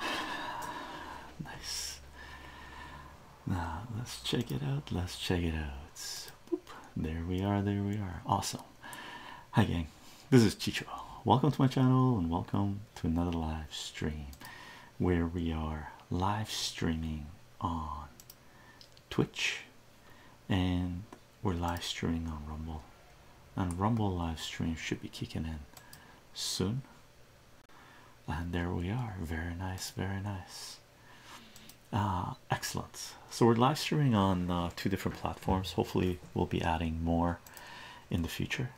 nice. Now let's check it out. Let's check it out. There we are. There we are. Awesome. Hi gang. This is Chicho. Welcome to my channel and welcome to another live stream where we are live streaming on Twitch and we're live streaming on Rumble. And Rumble live stream should be kicking in soon and there we are. Very nice, very nice. Uh, excellent. So we're live streaming on uh, two different platforms. Hopefully, we'll be adding more in the future.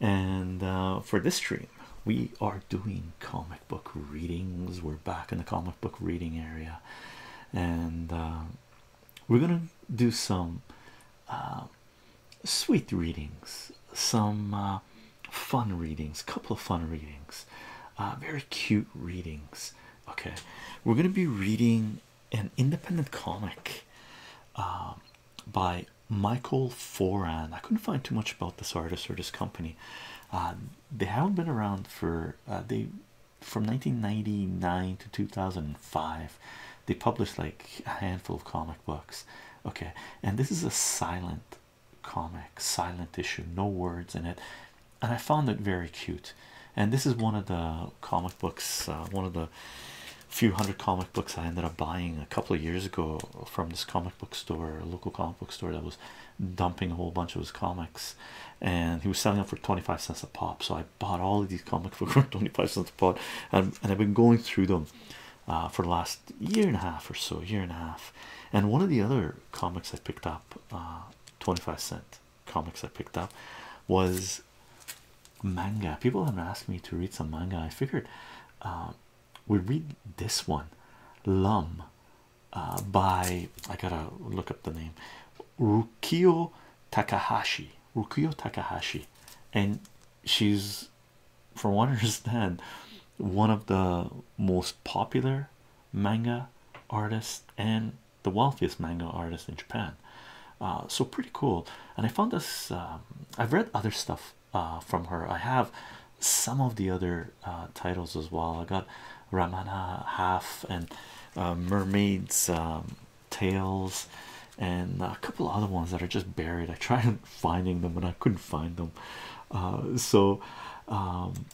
And uh, for this stream, we are doing comic book readings. We're back in the comic book reading area, and uh, we're gonna do some sweet readings, some uh, fun readings, couple of fun readings, uh, very cute readings. Okay, we're gonna be reading an independent comic uh, by Michael Foran. I couldn't find too much about this artist or this company. Um, they haven't been around for they from 1999 to 2005 they published like a handful of comic books okay and this is a silent comic silent issue no words in it and i found it very cute and this is one of the comic books uh, one of the few hundred comic books i ended up buying a couple of years ago from this comic book store a local comic book store that was dumping a whole bunch of his comics and he was selling them for 25 cents a pop so i bought all of these comic books for 25 cents a pop and, and i've been going through them uh, for the last year and a half or so, year and a half. And one of the other comics I picked up, uh, 25 cent comics I picked up, was manga. People have asked me to read some manga. I figured uh, we read this one, Lum, uh, by I gotta look up the name, Rukio Takahashi. Rukio Takahashi, and she's for one understand one of the most popular manga artists and the wealthiest manga artist in Japan. Uh, so pretty cool. And I found this. Um, I've read other stuff uh, from her. I have some of the other uh, titles as well. I got Ramana Half and Mermaids um, Tales and a couple other ones that are just buried. I tried finding them, but I couldn't find them. Uh, so, um,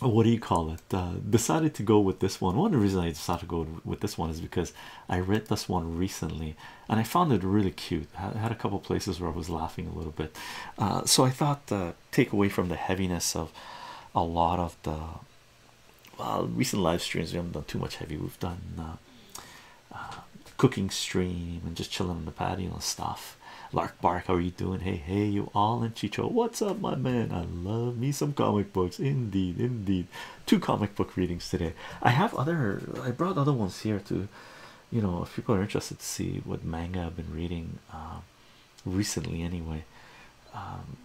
what do you call it? Uh, decided to go with this one. One of the reasons I decided to go with this one is because I read this one recently, and I found it really cute. had a couple places where I was laughing a little bit, uh, so I thought take away from the heaviness of a lot of the well recent live streams. We haven't done too much heavy. We've done. Uh, cooking stream and just chilling on the patio and stuff. Lark Bark, how are you doing? Hey, hey, you all in Chicho, what's up, my man? I love me some comic books, indeed, indeed. Two comic book readings today. I have other, I brought other ones here to, you know, if people are interested to see what manga I've been reading uh, recently, anyway. Um,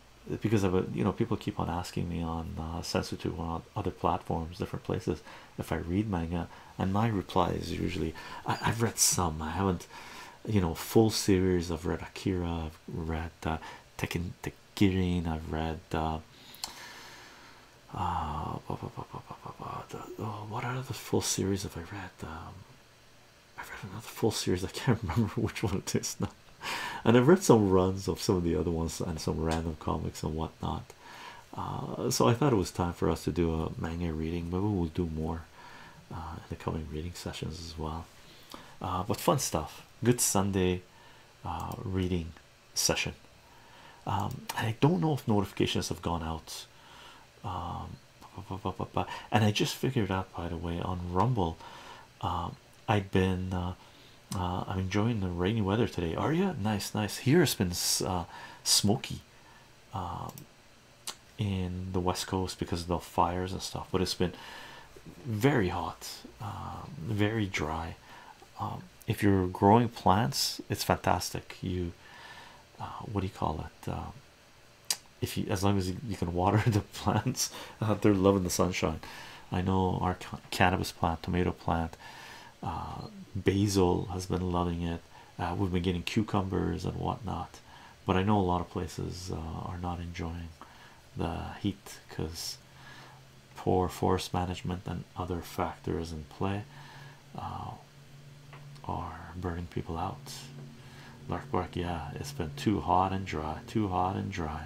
because of a, you know, people keep on asking me on uh, Sensitive when other platforms, different places. If I read manga, and my reply is usually, I, have read some, I haven't, you know, full series. I've read Akira, I've read uh, Tekken I've read, what are the full series have I read? Um, i read another full series, I can't remember which one it is now. And I've read some runs of some of the other ones and some random comics and whatnot. Uh, so I thought it was time for us to do a manga reading. Maybe we'll do more uh, in the coming reading sessions as well. Uh, but fun stuff. Good Sunday reading session. Um, I don't know if notifications have gone out. Um, and I just figured out, by the way, on Rumble, um, I've been uh, I'm enjoying the rainy weather today. Are you? Nice, nice. Here it's been uh, smoky um, in the west coast because of the fires and stuff, but it's been very hot, um, very dry. Um, if you're growing plants, it's fantastic. You, uh, what do you call it? if as long as you, can water the plants, they're loving the sunshine. I know our cannabis plant, tomato plant, uh, basil has been loving it. Uh, we've been getting cucumbers and whatnot, but I know a lot of places uh, are not enjoying the heat because poor forest management and other factors in play are burning people out. Lark bark, yeah, it's been too hot and dry, too hot and dry.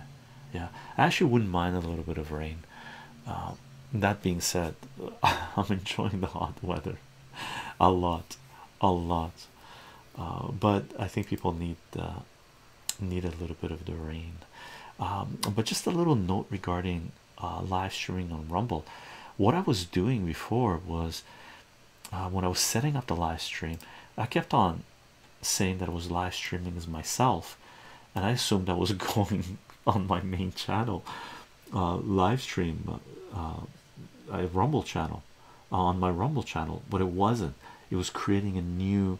Yeah, I actually wouldn't mind a little bit of rain that being said i'm enjoying the hot weather a lot a lot uh, but i think people need uh, need a little bit of the rain um, but just a little note regarding uh, live streaming on rumble what i was doing before was when i was setting up the live stream i kept on saying that i was live streaming as myself and I assumed I was going on my main channel uh, live stream uh, uh, a rumble channel on my rumble channel but it wasn't it was creating a new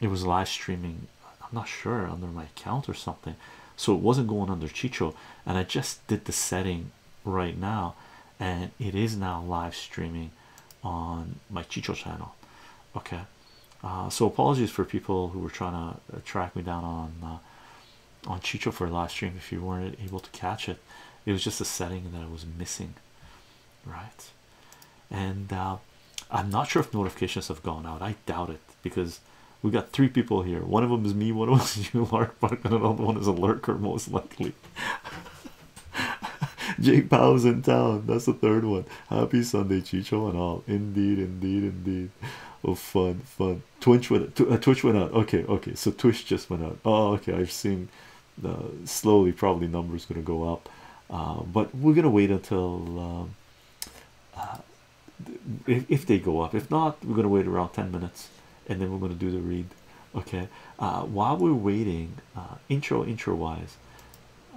it was live streaming I'm not sure under my account or something so it wasn't going under Chicho and I just did the setting right now and it is now live streaming on my Chicho channel okay uh, so apologies for people who were trying to uh, track me down on uh, on Chicho for live stream. If you weren't able to catch it, it was just a setting that I was missing, right? And uh, I'm not sure if notifications have gone out. I doubt it because we got three people here. One of them is me. One of them is you, Mark. and another one is a lurker, most likely. Jake Powell's in town. That's the third one. Happy Sunday, Chicho, and all. Indeed, indeed, indeed. Oh, fun, fun. Twitch went, uh, Twitch went out. Okay, okay. So Twitch just went out. Oh, okay. I've seen. Uh, slowly, probably numbers going to go up, uh, but we're going to wait until um, uh, if, if they go up. If not, we're going to wait around ten minutes, and then we're going to do the read. Okay. while we're waiting, intro intro wise,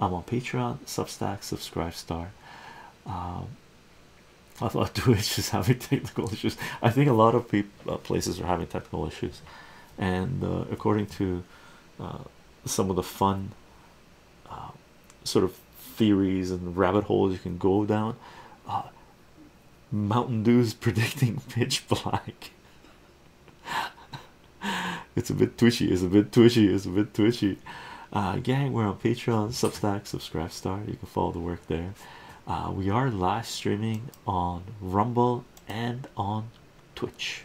I'm on Patreon, Substack, Subscribe Star. I thought Twitch is having technical issues. I think a lot of people, uh, places are having technical issues, and uh, according to uh, some of the fun sort of theories and rabbit holes you can go down, uh, Mountain Dew's predicting pitch black. it's a bit twitchy. It's a bit twitchy. It's a bit twitchy shoot uh, gang we're on patreon substack subscribe star you can follow the work there uh, we are live streaming on rumble and on twitch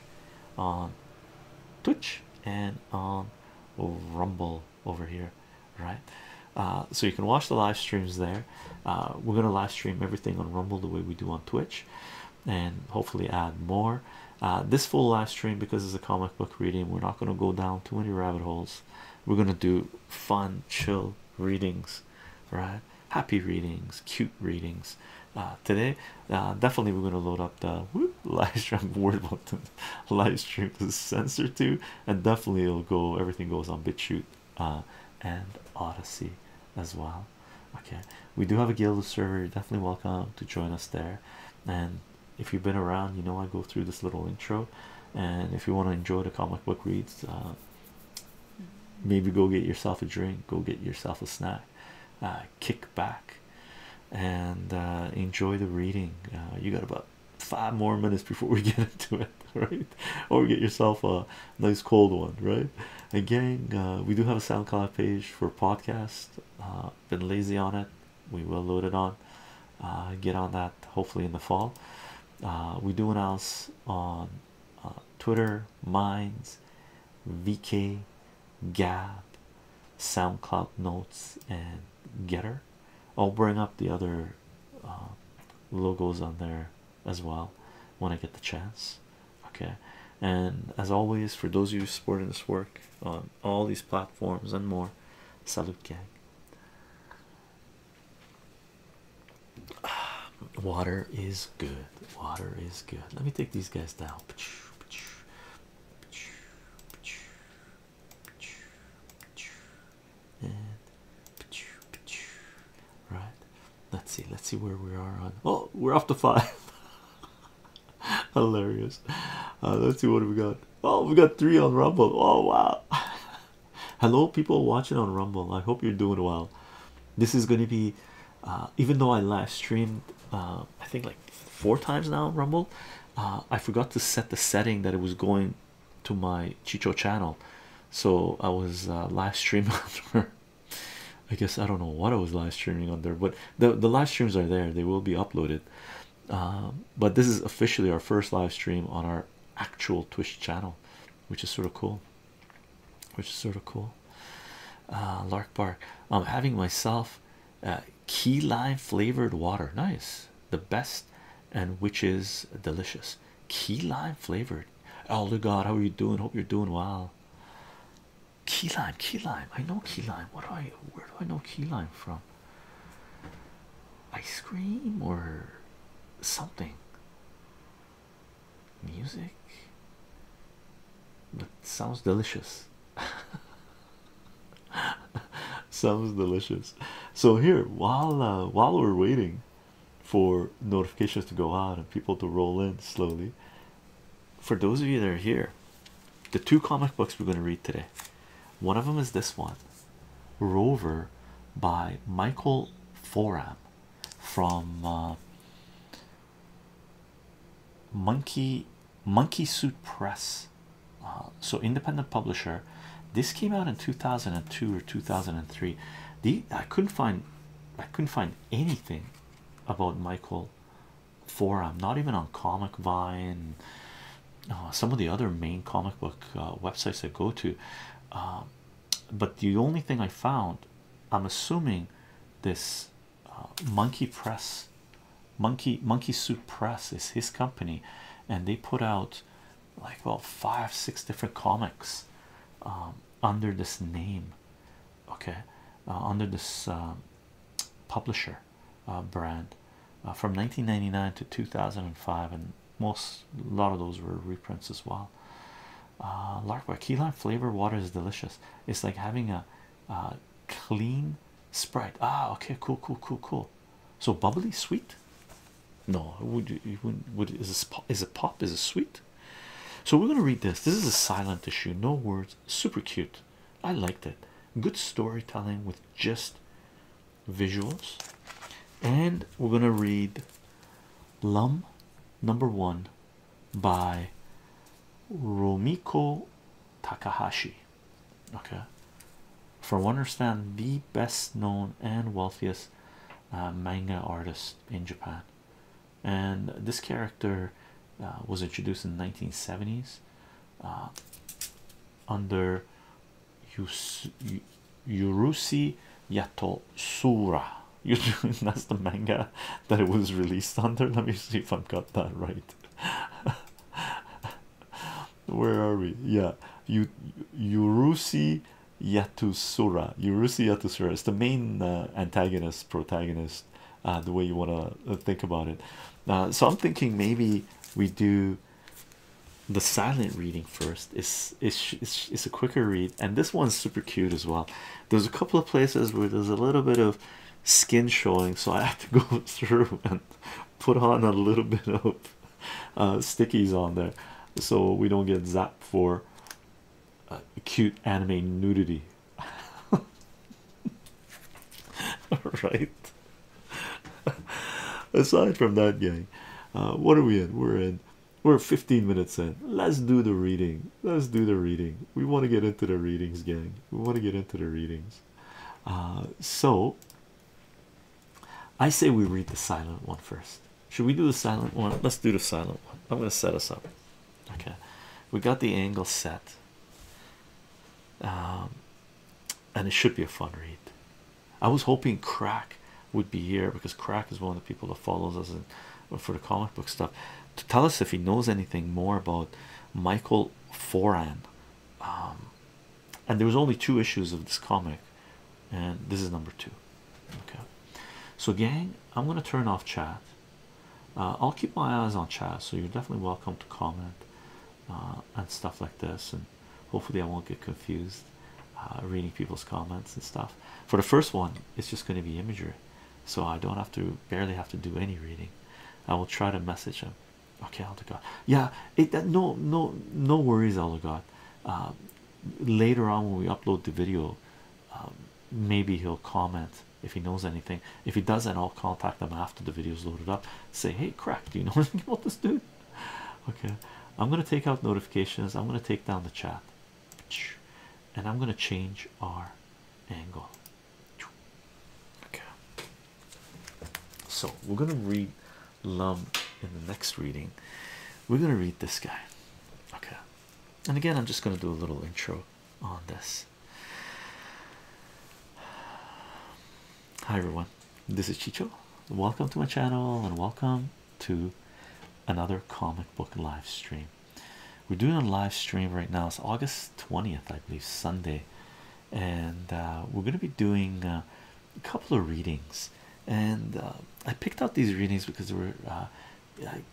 on twitch and on rumble over here right uh, so you can watch the live streams there we're gonna live stream everything on rumble the way we do on twitch and hopefully add more uh, this full live stream because it's a comic book reading. We're not going to go down too many rabbit holes. We're going to do fun, chill readings, right? Happy readings, cute readings. Uh, today, uh, definitely we're going to load up the live stream word button. live stream is censored too, and definitely it'll go. Everything goes on BitChute and Odyssey as well. Okay, we do have a guild server. You're definitely welcome to join us there, and if you've been around, you know I go through this little intro, and if you want to enjoy the comic book reads, uh, maybe go get yourself a drink, go get yourself a snack, uh, kick back, and uh, enjoy the reading. you got about five more minutes before we get into it, right? Or get yourself a nice cold one, right? Again, we do have a SoundCloud page for podcast. been lazy on it we will load it on uh, get on that hopefully in the fall uh, we do announce on uh, Twitter Minds VK Gab SoundCloud Notes and Getter I'll bring up the other logos on there as well when I get the chance okay and as always for those of you supporting this work on all these platforms and more. Salute, gang. Water is good. Water is good. Let me take these guys down. right, let's see. Let's see where we are on. Oh, we're off to five. hilarious uh, let's see what we got oh we got three on rumble oh wow hello people watching on rumble i hope you're doing well this is going to be uh, even though i live streamed uh, i think like four times now on rumble i forgot to set the setting that it was going to my chicho channel so i was live streaming on i guess i don't know what i was live streaming on there but the, the live streams are there they will be uploaded um, but this is officially our first live stream on our actual Twitch channel, which is sort of cool. Which is sort of cool. Uh, Lark Bar, I'm having myself uh, key lime flavored water. Nice, the best, and which is delicious. Key lime flavored. Oh, Elder God, how are you doing? Hope you're doing well. Key lime, key lime. I know key lime. What do I? Where do I know key lime from? ice cream or something music that sounds delicious sounds delicious so here while uh, while we're waiting for notifications to go out and people to roll in slowly for those of you that are here the two comic books we're going to read today. One of them is this one, Rover by Michael Foram from uh, Monkey Monkey Suit Press. Uh, so independent publisher. This came out in 2002 or 2003. The I couldn't find I couldn't find anything about Michael Foram, not even on Comic Vine, uh, some of the other main comic book uh, websites I go to. Um, but the only thing I found, I'm assuming, this uh, Monkey Press, Monkey Monkey Suit Press is his company, and they put out like well five six different comics um, under this name, okay, under this publisher, uh, brand uh, from 1999 to 2005 and most a lot of those were reprints as well uh larkboy key lime flavor water is delicious it's like having a clean sprite ah okay cool cool cool cool so bubbly sweet no would you would would is this pop is a pop is it sweet so we're going to read this this is a silent issue no words super cute i liked it good storytelling with just visuals and we're gonna read Lum number one by Romiko Takahashi. Okay, for one understand the best known and wealthiest uh, manga artist in Japan, and this character uh, was introduced in the 1970s under Yus Yurusi Yatosura. You that's the manga that it was released under. Let me see if i got that right. Where are we? Yeah, Yurusi Yatusura. Yurusi Yatusura is the main uh, antagonist, protagonist. Uh, the way you want to uh, think about it. so I'm thinking maybe we do the silent reading first is it's it's a quicker read and this one's super cute as well there's a couple of places where there's a little bit of skin showing so i have to go through and put on a little bit of uh, stickies on there so we don't get zapped for uh, cute anime nudity all right aside from that gang uh, what are we in we're in we're 15 minutes in let's do the reading let's do the reading we want to get into the readings gang we want to get into the readings uh, so i say we read the silent one first should we do the silent one let's do the silent one i'm going to set us up okay we got the angle set um, and it should be a fun read. I was hoping Crack would be here because Crack is one of the people that follows us and for the comic book stuff to tell us if he knows anything more about Michael Foran. Um, and there was only two issues of this comic, and this is number two. Okay, so gang, I'm gonna turn off chat. Uh, I'll keep my eyes on chat, so you're definitely welcome to comment uh, and stuff like this. And hopefully I won't get confused uh, reading people's comments and stuff. For the first one, it's just going to be imagery, so I don't have to barely have to do any reading. I will try to message him. Okay, I'll God. Yeah, it no no no worries, i God. Uh, later on when we upload the video, um, maybe he'll comment if he knows anything. If he doesn't, I'll contact them after the video is loaded up. Say, hey, crack, do you know anything about this dude? okay i'm going to take out notifications i'm going to take down the chat and i'm going to change our angle okay so we're going to read lum in the next reading we're going to read this guy okay and again i'm just going to do a little intro on this hi everyone this is Chicho. Welcome to my channel and welcome to another comic book live stream. We're doing a live stream right now. It's August 20th, I believe, Sunday, and uh, we're going to be doing uh, a couple of readings. And uh, I picked out these readings because they were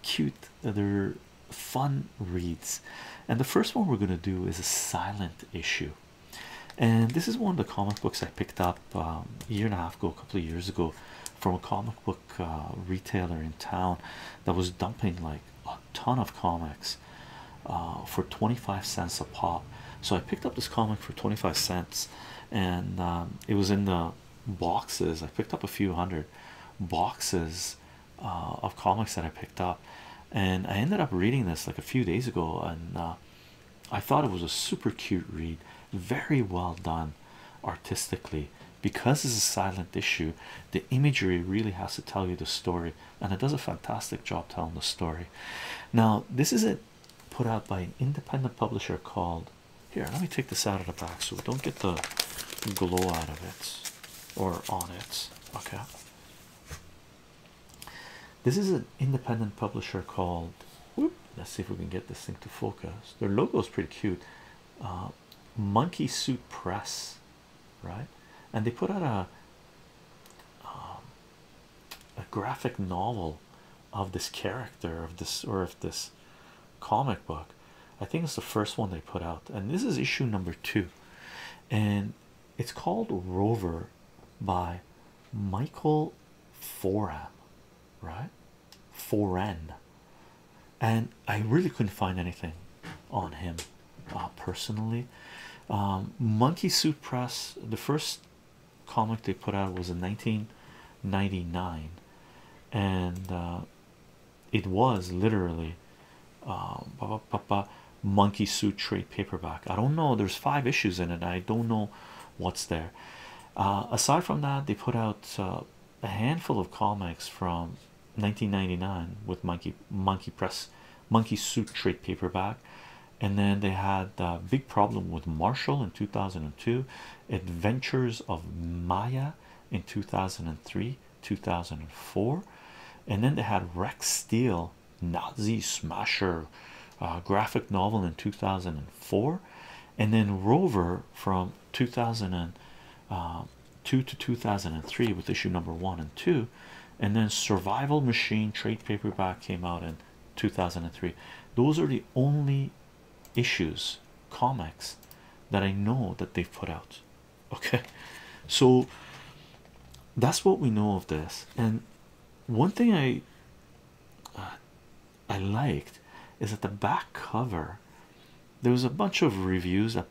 cute, they're fun reads. And the first one we're going to do is a silent issue and this is one of the comic books I picked up um, a year and a half ago, a couple of years ago, from a comic book uh, retailer in town that was dumping like a ton of comics uh, for 25 cents a pop. So I picked up this comic for 25 cents, and um, it was in the boxes. I picked up a few hundred boxes uh, of comics that I picked up, and I ended up reading this like a few days ago, and I thought it was a super cute read, very well done artistically. Because it's a silent issue, the imagery really has to tell you the story, and it does a fantastic job telling the story. Now, this is it put out by an independent publisher called here. Let me take this out of the box so we don't get the glow out of it or on it. Okay, this is an independent publisher called. let's see if we can get this thing to focus. Their logo is pretty cute. Uh, Monkey Suit Press, right? And they put out a um, a graphic novel of this character of this or of this comic book. I think it's the first one they put out, and this is issue number two, and it's called Rover by Michael Foran, right? Foran, and I really couldn't find anything on him uh, personally. Um, Monkey Suit Press, the first comic they put out was in 1999, and uh, it was literally. Um, monkey suit trade paperback i don't know there's five issues in it i don't know what's there uh, aside from that they put out uh, a handful of comics from 1999 with monkey monkey press monkey suit trade paperback and then they had a big problem with marshall in 2002 adventures of maya in 2003 2004 and then they had rex steel Nazi Smasher, uh, graphic novel in 2004, and then Rover from 2002 uh, to 2003 with issue number one and two, and then Survival Machine trade paperback came out in 2003. Those are the only issues, comics that I know that they've put out. Okay, so that's what we know of this, and one thing I uh, I liked is that the back cover there was a bunch of reviews that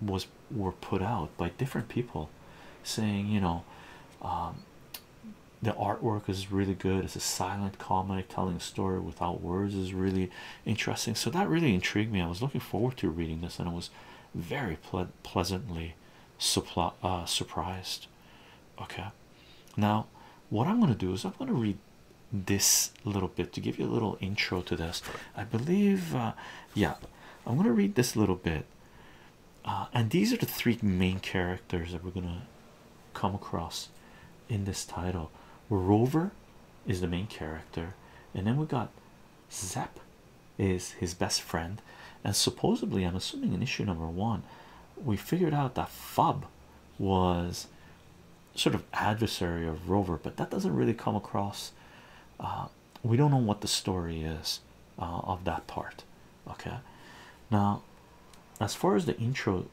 was were put out by different people saying you know um, the artwork is really good it's a silent comic telling a story without words is really interesting so that really intrigued me I was looking forward to reading this and it was very pleasantly uh, surprised okay now what i'm going to do is i'm going to read this little bit to give you a little intro to this i believe uh, yeah i'm going to read this little bit uh, and these are the three main characters that we're going to come across in this title rover is the main character and then we got Zap is his best friend, and supposedly, I'm assuming in issue number one, we figured out that Fob was sort of adversary of Rover, but that doesn't really come across. Uh, we don't know what the story is uh, of that part. Okay, now as far as the intro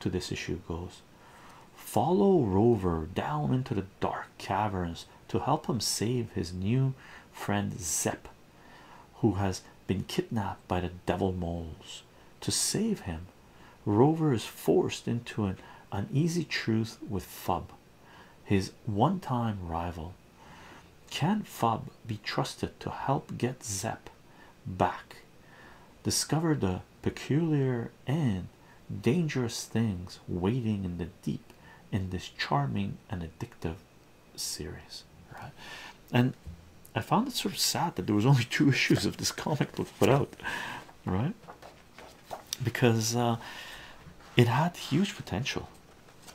to this issue goes, follow Rover down into the dark caverns to help him save his new friend Zep who has been kidnapped by the devil moles. To save him, Rover is forced into an uneasy truth with Fub, his one time rival. Can Fub be trusted to help get Zepp back? Discover the peculiar and dangerous things waiting in the deep in this charming and addictive series, right? And I found it sort of sad that there was only two issues of this comic book put out, right? Because uh, it had huge potential.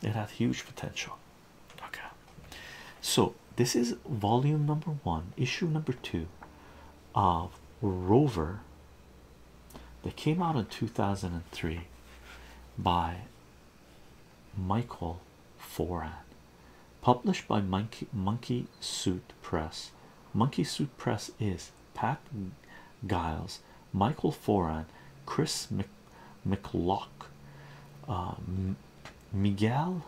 It had huge potential. Okay, so this is volume number one, issue number two of Rover that came out in 2003 by Michael Foran, published by Monkey Suit Press. Monkey Suit Press is Pat Giles, Michael Foran, Chris Mc McLock, uh, Miguel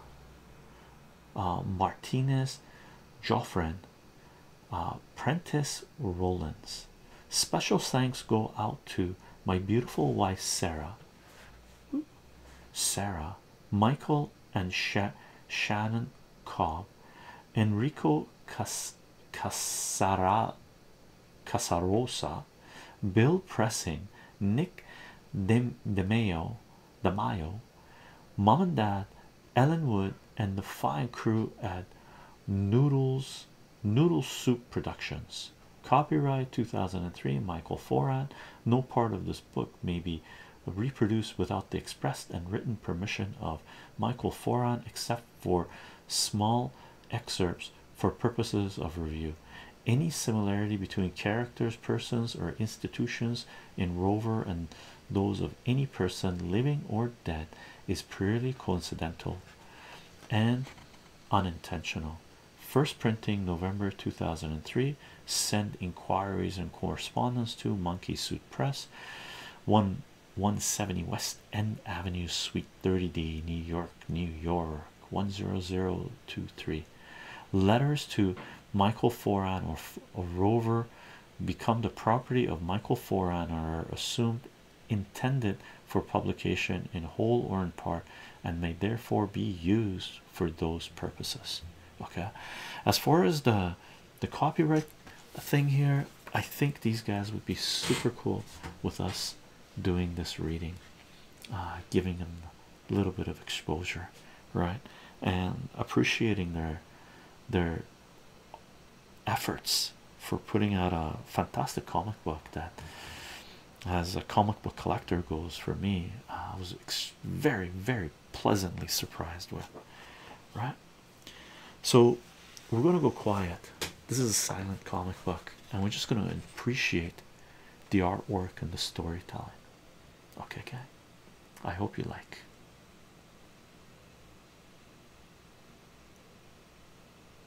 uh, Martinez, Joffrin, uh, Prentice Rollins. Special thanks go out to my beautiful wife Sarah Sarah, Michael, and Shannon Cobb, Enrico Cas Casarosa, Bill Pressing, Nick Dem DeMayo, Mom and Dad, Ellen Wood, and the fine crew at Noodles Noodle Soup Productions. Copyright 2003 Michael Foran. No part of this book may be reproduced without the expressed and written permission of Michael Foran, except for small excerpts for purposes of review. Any similarity between characters, persons, or institutions in Rover and those of any person living or dead is purely coincidental and unintentional first printing November 2003 send inquiries and correspondence to monkey suit press 1 170 West End Avenue Suite 30D New York New York 10023 letters to Michael Foran or, Rover become the property of Michael Foran or are assumed intended for publication in whole or in part and may therefore be used for those purposes okay as far as the the copyright thing here i think these guys would be super cool with us doing this reading uh, giving them a little bit of exposure right and appreciating their their efforts for putting out a fantastic comic book that as a comic book collector goes for me uh, I was very very pleasantly surprised with right so we're going to go quiet this is a silent comic book and we're just going to appreciate the artwork and the storytelling okay okay I hope you like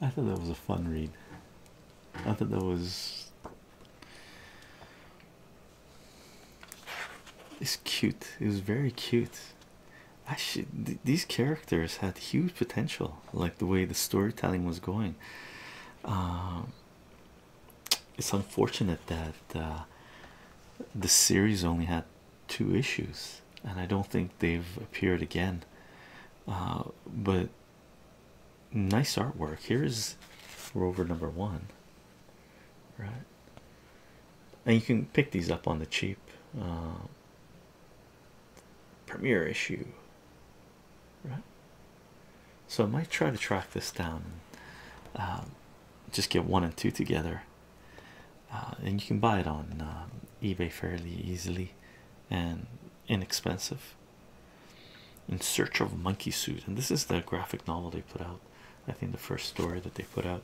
I thought that was a fun read. I thought that was it's cute. It was very cute. Actually, these characters had huge potential, like the way the storytelling was going. Um, it's unfortunate that uh, the series only had two issues, and I don't think they've appeared again. Uh, but nice artwork. Here's rover number one, right? And you can pick these up on the cheap uh, premiere issue, right? So I might try to track this down, and, uh, just get one and two together, uh, and you can buy it on eBay fairly easily and inexpensive in search of monkey suit and this is the graphic novel they put out i think the first story that they put out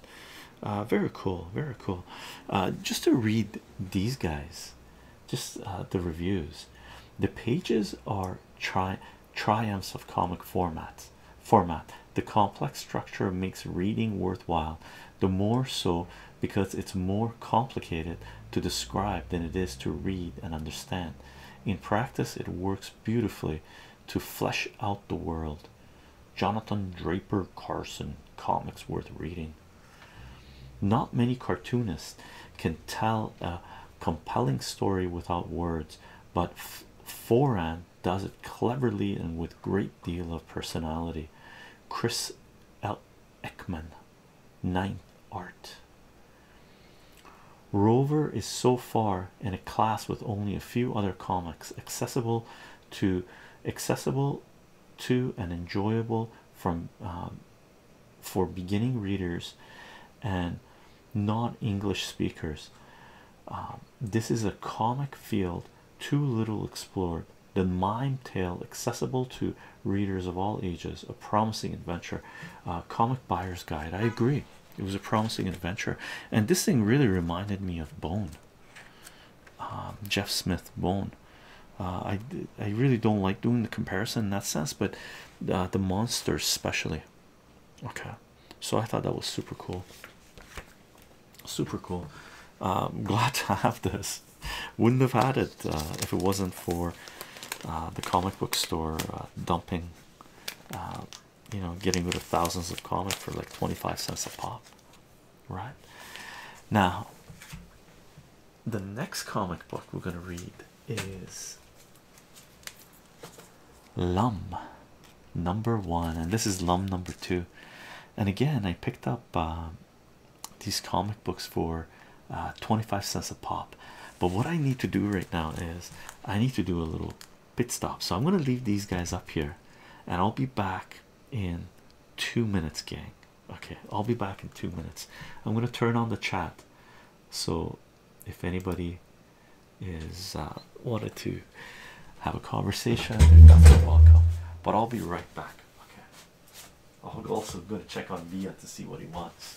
uh, very cool very cool uh, just to read these guys just uh, the reviews the pages are tri triumphs of comic format format the complex structure makes reading worthwhile the more so because it's more complicated to describe than it is to read and understand. In practice, it works beautifully to flesh out the world. Jonathan Draper Carson comics worth reading. Not many cartoonists can tell a compelling story without words, but Foran does it cleverly and with great deal of personality. Chris L. Ekman Ninth art. Rover is so far in a class with only a few other comics accessible to accessible to and enjoyable from um, for beginning readers and non English speakers. Um, this is a comic field too little explored. The mime tale accessible to readers of all ages. A promising adventure, uh, comic buyer's guide. I agree, it was a promising adventure, and this thing really reminded me of Bone, um, Jeff Smith Bone. Uh, I I really don't like doing the comparison in that sense, but uh, the monsters especially. Okay, so I thought that was super cool. Super cool. glad to have this. Wouldn't have had it uh, if it wasn't for uh, the comic book store uh, dumping, you know, getting rid of thousands of comics for like 25 cents a pop, right? Now, the next comic book we're going to read is Lum number one, and this is Lum number two. And again, I picked up these comic books for uh, 25 cents a pop. But what I need to do right now is I need to do a little pit stop. So I'm going to leave these guys up here and I'll be back in two minutes, gang. Okay, I'll be back in two minutes. I'm going to turn on the chat. So if anybody is uh, wanted to have a conversation, they're welcome. But I'll be right back. Okay. I'm also going to check on Mia to see what he wants.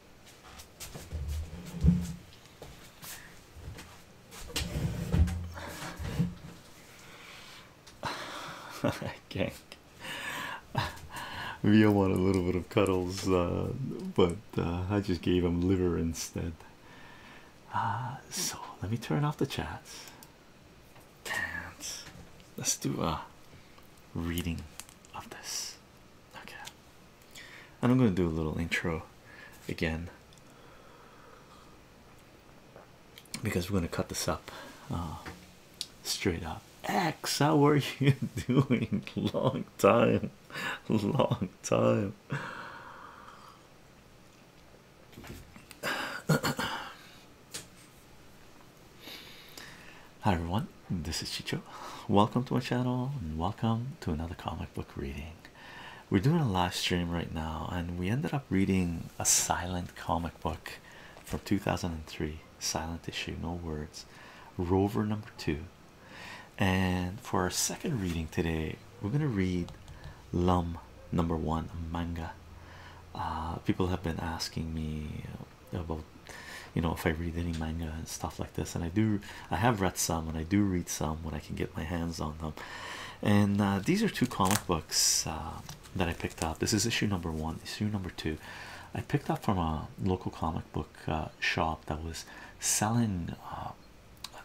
Gang, Via want a little bit of cuddles, uh, but uh, I just gave him liver instead. Uh, so let me turn off the chat. Dance. Let's do a reading of this. Okay, and I'm gonna do a little intro again because we're gonna cut this up uh, straight up. X, how are you doing? Long time, long time. Hi everyone, this is Chicho. Welcome to my channel and welcome to another comic book reading. We're doing a live stream right now, and we ended up reading a silent comic book from 2003, silent issue, no words, Rover number two. And for our second reading today, we're going to read Lum number one, manga. Uh, people have been asking me about you know if I read any manga and stuff like this, and I do I have read some and I do read some when I can get my hands on them. And uh, these are two comic books uh, that I picked up. This is issue number one, issue number two. I picked up from a local comic book uh, shop that was selling a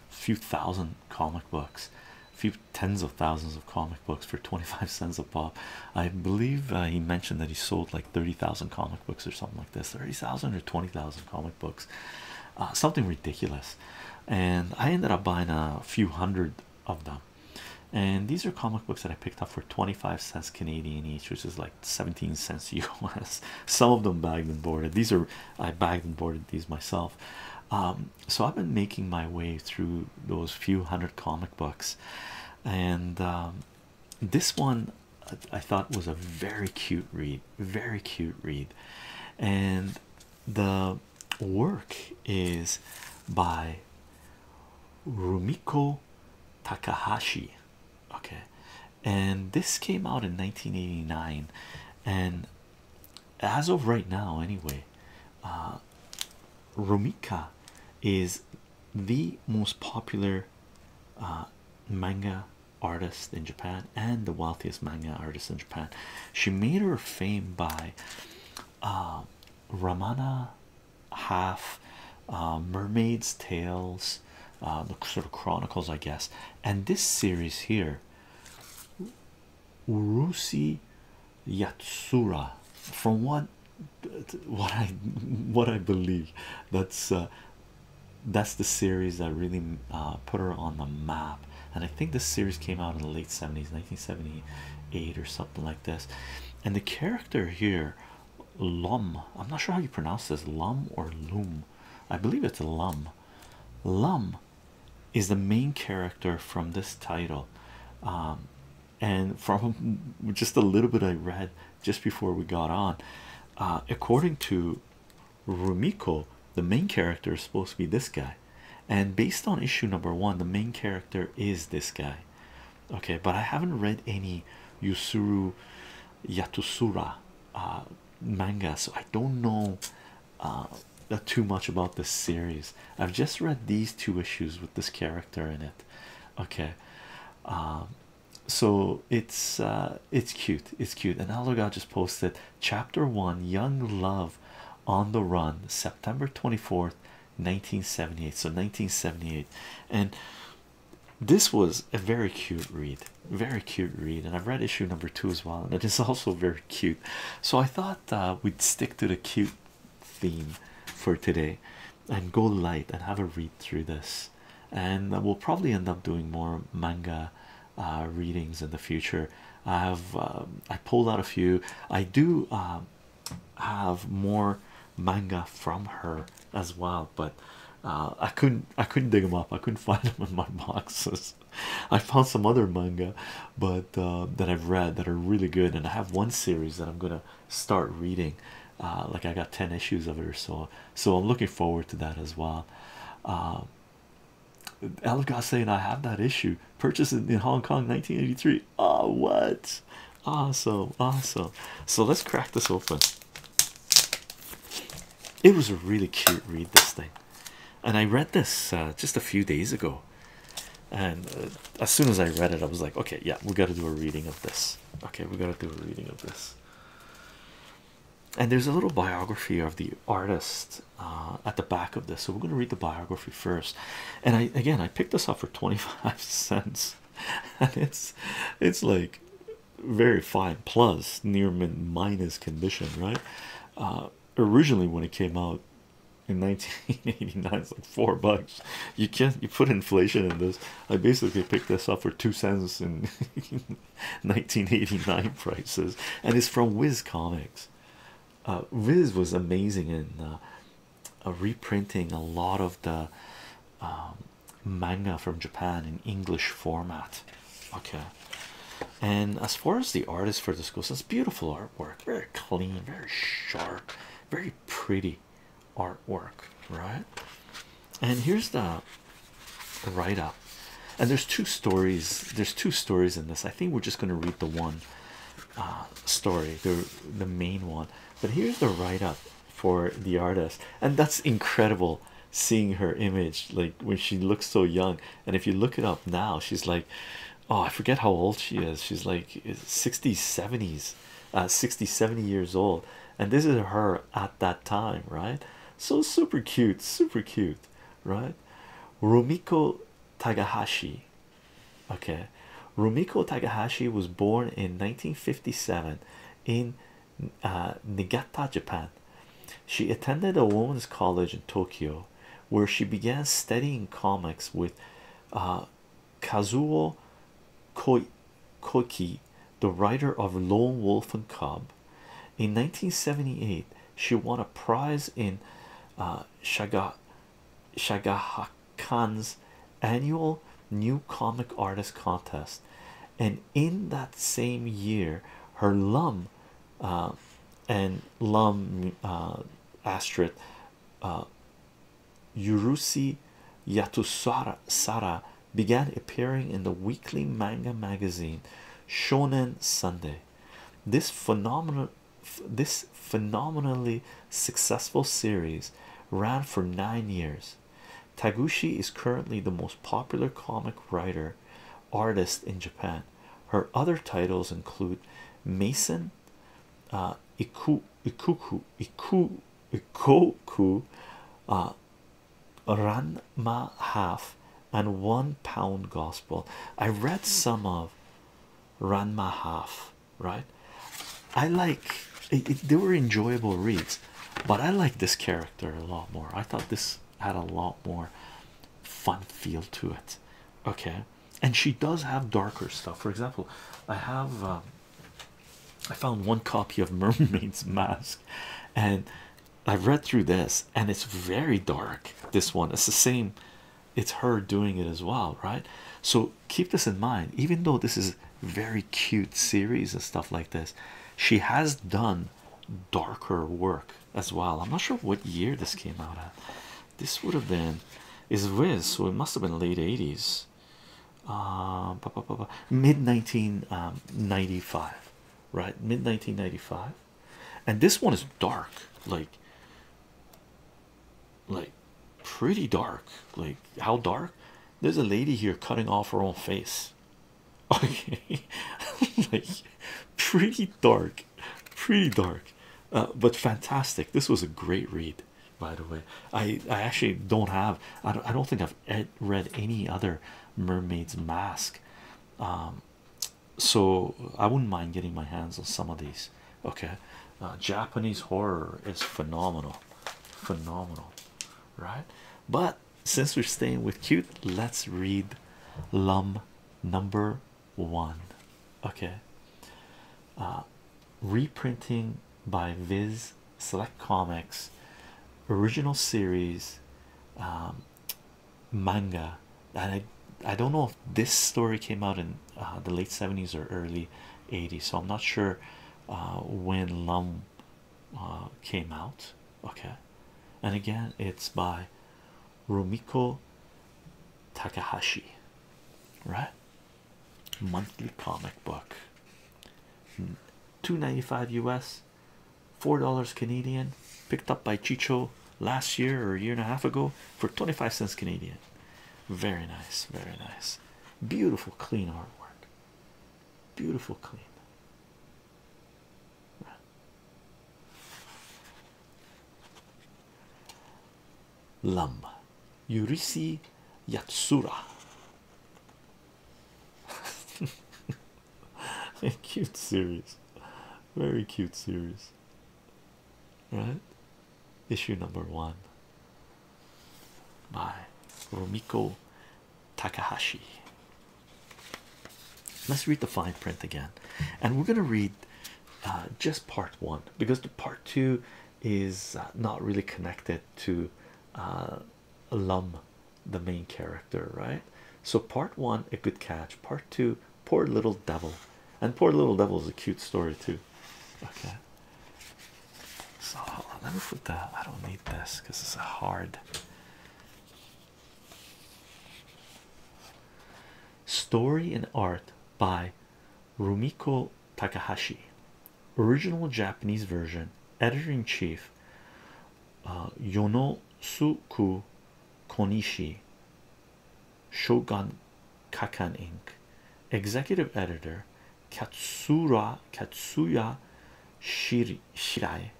few thousand comic books, a few tens of thousands of comic books for 25 cents a pop. I believe he mentioned that he sold like 30,000 comic books or something like this 30,000 or 20,000 comic books uh, something ridiculous and i ended up buying a few hundred of them and these are comic books that i picked up for 25 cents canadian each which is like 17 cents us some of them bagged and boarded these are i bagged and boarded these myself um, so i've been making my way through those few hundred comic books and um, this one I thought was a very cute read, very cute read, and the work is by Rumiko Takahashi. Okay, and this came out in 1989, and as of right now, anyway, uh, Rumika is the most popular uh, manga artist in Japan and the wealthiest manga artist in Japan. She made her fame by uh, Ramana Half, uh, Mermaid's Tales, uh, the sort of chronicles, I guess, and this series here, Urushi Yatsura, from what what I what I believe, that's that's the series that really uh, put her on the map. And I think this series came out in the late 70s, 1978 or something like this. And the character here, Lum, I'm not sure how you pronounce this, Lum or Loom. I believe it's Lum. Lum is the main character from this title. Um, and from just a little bit I read just before we got on, uh, according to Rumiko, the main character, is supposed to be this guy, and based on issue number one, the main character is this guy. Okay, but I haven't read any Yusuru Yatusura uh, manga, so I don't know uh, too much about this series. I've just read these two issues with this character in it. Okay, um, so it's uh, it's cute, it's cute. And Alorga just posted chapter one Young Love on the Run, September 24th, 1978. So, 1978, and this was a very cute read, very cute read. And I've read issue number two as well, and it is also very cute. So, I thought uh, we'd stick to the cute theme for today and go light and have a read through this. And we'll probably end up doing more manga uh, readings in the future. I have uh, I pulled out a few. I do um, have more manga from her as well, but uh, I couldn't I couldn't dig them up. I couldn't find them in my boxes. I found some other manga, but that I've read that are really good, and I have one series that I'm gonna start reading. like I got ten issues of it or so, so I'm looking forward to that as well. Um, Elgar saying I have that issue purchased in Hong Kong 1983. Oh, ah, what awesome! Awesome. So let's crack this open. It was a really cute read, this thing, and I read this uh, just a few days ago. And uh, as soon as I read it, I was like, okay, yeah, we got to do a reading of this. Okay, we got to do a reading of this and there's a little biography of the artist uh, at the back of this so we're going to read the biography first and i again i picked this up for 25 cents and it's it's like very fine plus near min minus condition right uh, originally when it came out in 1989 it's like four bucks you can't you put inflation in this i basically picked this up for two cents and. 1989 prices and it's from Wiz Comics. Uh, Wiz was amazing in uh, uh, reprinting a lot of the um, manga from Japan in English format. Okay, and as far as the artist for this goes, it's beautiful artwork, very clean, very sharp, very pretty artwork, right? And here's the write up. And there's two stories. There's two stories in this. I think we're just going to read the one uh, story, the the main one. But here's the write up for the artist, and that's incredible. Seeing her image, like when she looks so young, and if you look it up now, she's like, oh, I forget how old she is. She's like 60s, 70s, uh, 60, 70 years old, and this is her at that time, right? So super cute, super cute right? Rumiko Takahashi. Okay, Rumiko Takahashi was born in 1957 in uh, Japan. She attended a women's college in Tokyo, where she began studying comics with uh, Kazuo Koike, the writer of Lone Wolf and Cub, in 1978, she won a prize in uh, Shaga Shagaha annual New Comic Artist Contest, and in that same year, her Lum uh, and Lum Astrid uh, uh Yurusi Yatusara began appearing in the weekly manga magazine Shonen Sunday. This phenomenal this phenomenally successful series ran for nine years. Taguchi is currently the most popular comic writer artist in Japan. Her other titles include Mason, uh, Iku, Ikuku, Iku, Ikoku, uh, Ranma half and one pound gospel. I read some of Ranma half, right? I like they were enjoyable reads, but I like this character a lot more. I thought this had a lot more fun feel to it, okay? And she does have darker stuff. For example, I have. Um, I found one copy of Mermaid's Mask, and I've read through this and it's very dark. This one, it's the same, it's her doing it as well, right? So keep this in mind, even though this is very cute series and stuff like this, she has done darker work as well. I'm not sure what year this came out at. This would have been is Wiz, so it must have been late 80s. Uh, mid 1995, um, right? Mid 1995 and this one is dark like like pretty dark like how dark there's a lady here cutting off her own face okay like pretty dark pretty dark uh, but fantastic this was a great read by the way i i actually don't have i don't, I don't think i've read any other mermaid's mask um, so I wouldn't mind getting my hands on some of these. Okay, uh, Japanese horror is phenomenal, phenomenal, right? But since we're staying with cute, let's read Lum number one. Okay, uh, reprinting by Viz Select Comics, original series. Um, manga and i i don't know if this story came out in uh, the late 70s or early 80s so i'm not sure uh, when lum uh, came out okay and again it's by rumiko takahashi right monthly comic book hmm. 295 us four dollars Canadian, picked up by Chicho last year or a year and a half ago for 25 cents Canadian. Very nice, very nice. Beautiful, clean artwork. Beautiful, clean. Lum Yurisi Yatsura. A cute series. Very cute series, right? Issue number one by Romiko Takahashi. Let's read the fine print again, and we're gonna read uh, just part one because the part two is uh, not really connected to uh, Lum the main character, right? So, part one, a good catch, part two, poor little devil, and poor little devil is a cute story, too. Okay, so let me put that. I don't need this because it's a hard story in art by Rumiko Takahashi, original Japanese version, editor in chief uh, Yonosuku Konishi, Shogun Kakan Inc., Executive Editor Katsura Katsuya Shiri, Shirai.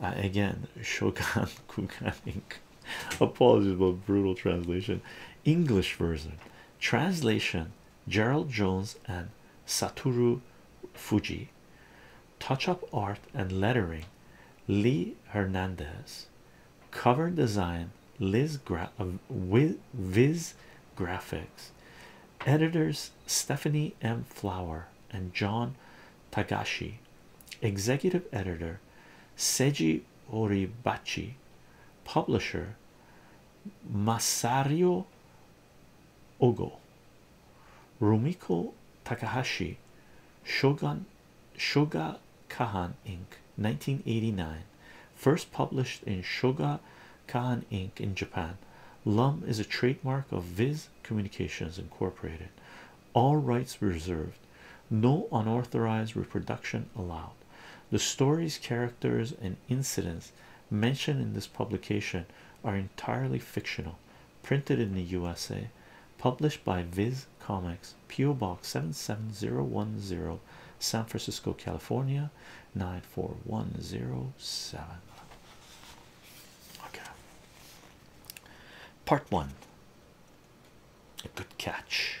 Uh, again, Shogun Kukan Inc. Apologies about brutal translation. English version. Translation Gerald Jones and Satoru Fuji touch-up art and lettering Lee Hernandez cover design Liz Gra uh, Viz graphics editors Stephanie M Flower and John Tagashi executive editor Seiji Oribachi publisher Masario Ogo Rumiko Takahashi, Shogun Shoga Kahan Inc. 1989, first published in Shoga Kahan Inc. in Japan. Lum is a trademark of Viz Communications Incorporated. All rights reserved. No unauthorized reproduction allowed. The stories, characters, and incidents mentioned in this publication are entirely fictional printed in the USA, published by Viz Comics, P.O. Box 77010, San Francisco, California 94107. Okay, part one. A good catch.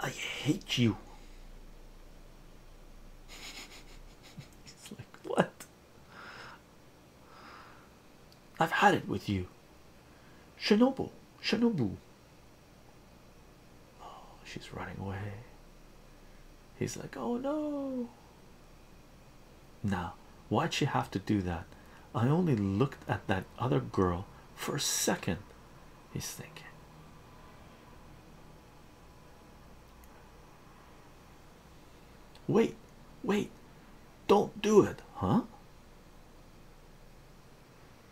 I hate you. It's like, What? I've had it with you. Shinobu, Shinobu. Oh, she's running away. He's like, Oh no. Now, why'd she have to do that? I only looked at that other girl for a second, he's thinking. Wait, wait, don't do it, huh?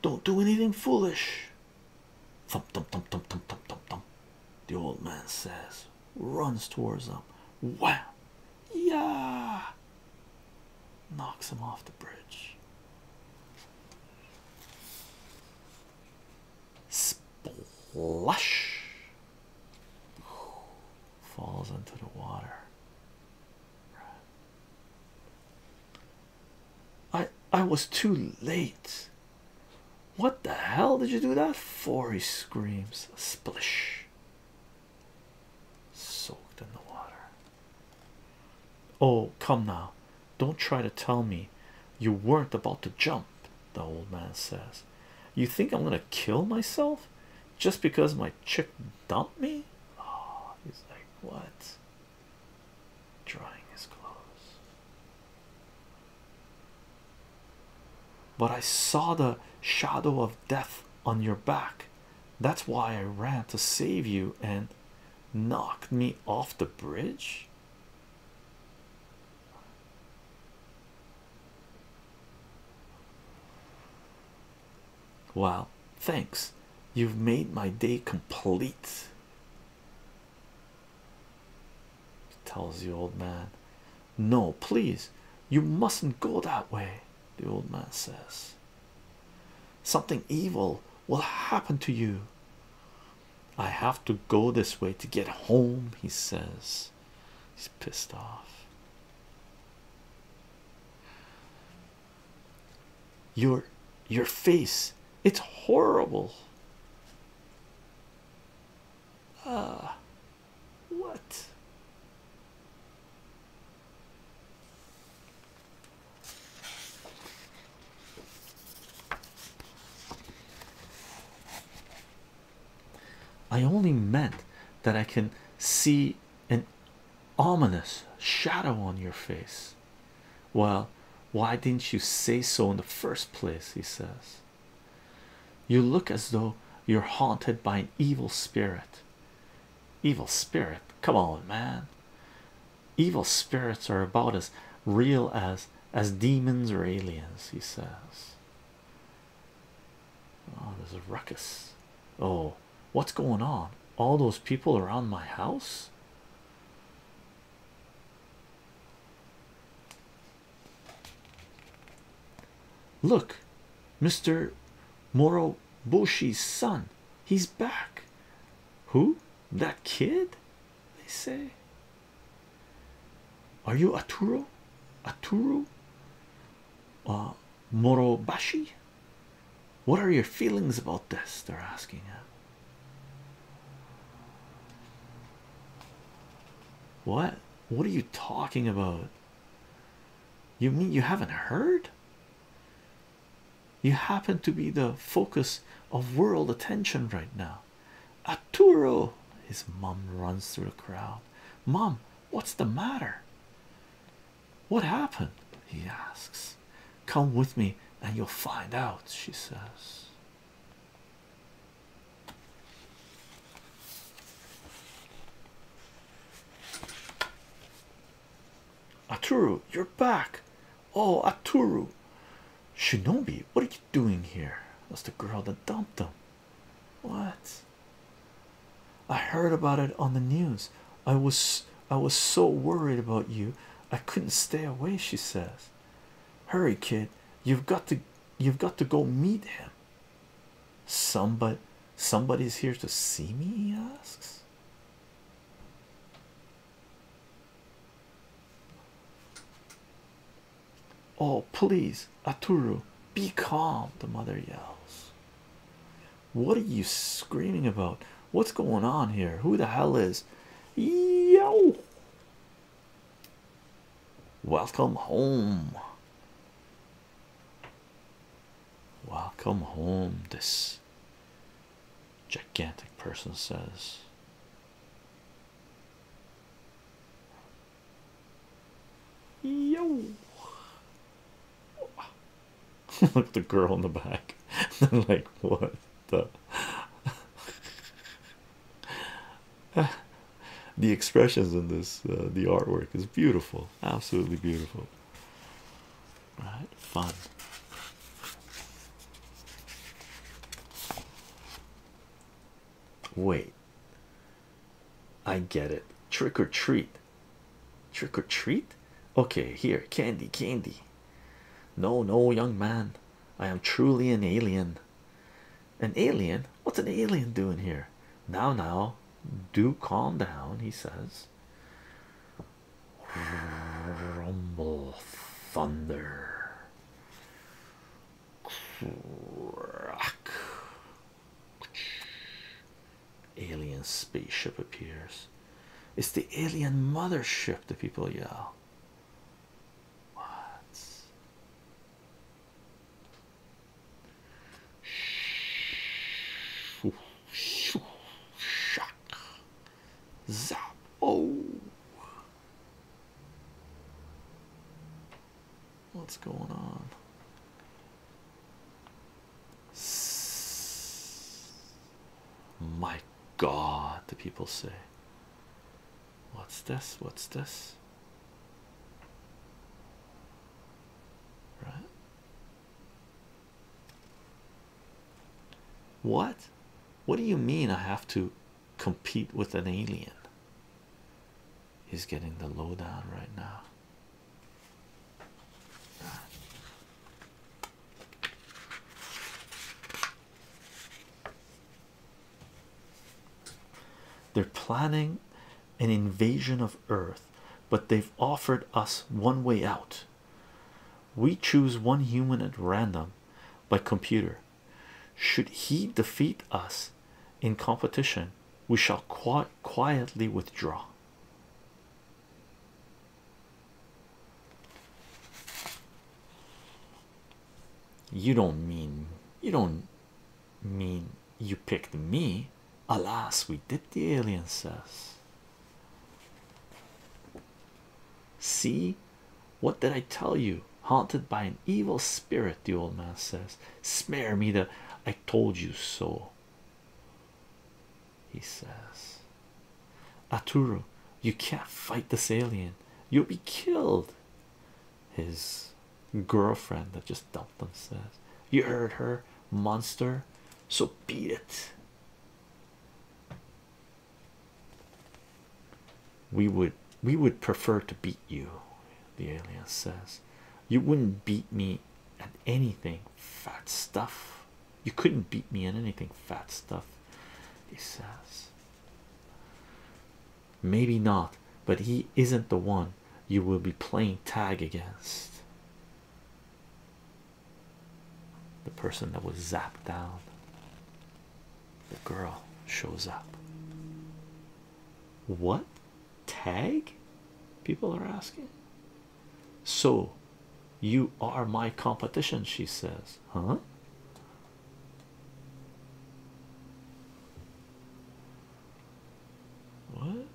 Don't do anything foolish. Thump, thump, thump, thump, thump, thump, thump, thump. The old man says, runs towards them. Wow, yeah, knocks him off the bridge. Splush falls into the water. I I was too late. What the hell did you do that for? He screams. Splish soaked in the water. Oh, come now, don't try to tell me you weren't about to jump, the old man says. You think I'm gonna kill myself just because my chick dumped me? Oh, he's like, What? Drying his clothes. But I saw the shadow of death on your back, that's why I ran to save you and knocked me off the bridge. Well, thanks. You've made my day complete. Tells the old man, No, please, you mustn't go that way the old man says. Something evil will happen to you. I have to go this way to get home, he says. He's pissed off. Your your face, it's horrible. Ah, what? I only meant that I can see an ominous shadow on your face. Well, why didn't you say so in the first place? He says, You look as though you're haunted by an evil spirit. Evil spirit, come on, man. Evil spirits are about as real as as demons or aliens, he says. Oh, there's a ruckus. Oh, what's going on? All those people around my house. Look, Mr. Moro Bushi's son. He's back. Who? That kid? They say. Are you Aturo? Aturo? Uh, Morobashi? What are your feelings about this? They're asking. What? What are you talking about? You mean you haven't heard? You happen to be the focus of world attention right now. Arturo, his mom runs through the crowd. Mom, what's the matter? What happened? He asks. Come with me and you'll find out, she says. Aturu, you're back. Oh, Aturu, Shinobi, what are you doing here? That's the girl that dumped him. What? I heard about it on the news. I was I was so worried about you. I couldn't stay away, she says. Hurry, kid. You've got to you've got to go meet him. Somebody somebody's here to see me, he asks. Oh, please, Aturu, be calm, the mother yells. What are you screaming about? What's going on here? Who the hell is? Yo! Welcome home. Welcome home, this Gigantic person says. Yo, look the girl in the back. like, what the the expressions in this, uh, the artwork is beautiful, absolutely beautiful right? Fun. Wait, I get it. Trick or treat, trick or treat. Okay, here, candy, candy. No, no, young man, I am truly an alien. An alien? What's an alien doing here? Now, now, do calm down, he says rumble thunder crack alien spaceship appears it's the alien mothership the people yell what shoo, shock, zap, oh. What's going on? My God, the people say. What's this? What's this? Right? What? What do you mean I have to compete with an alien? He's getting the lowdown right now. They're planning an invasion of Earth, but they've offered us one way out. We choose one human at random by computer. Should he defeat us in competition, we shall qui quietly withdraw. You don't mean you don't mean you picked me. Alas, we did, the aliens says. See, what did I tell you? Haunted by an evil spirit, the old man says. Spare me the I told you so. He says, Aturu, you can't fight this alien, you'll be killed. His girlfriend that just dumped him says, You heard her, monster, so beat it we would we would prefer to beat you the alien says you wouldn't beat me at anything fat stuff you couldn't beat me at anything fat stuff he says maybe not but he isn't the one you will be playing tag against the person that was zapped down, the girl shows up. What tag? People are asking. So you are my competition, she says, huh? What?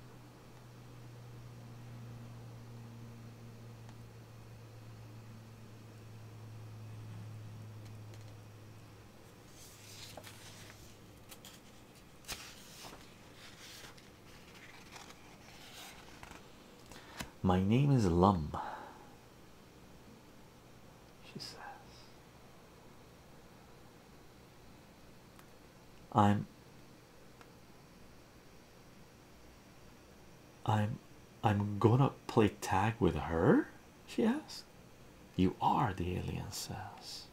My name is Lum, she says. I'm I'm I'm gonna play tag with her, she asks. You are, the alien says.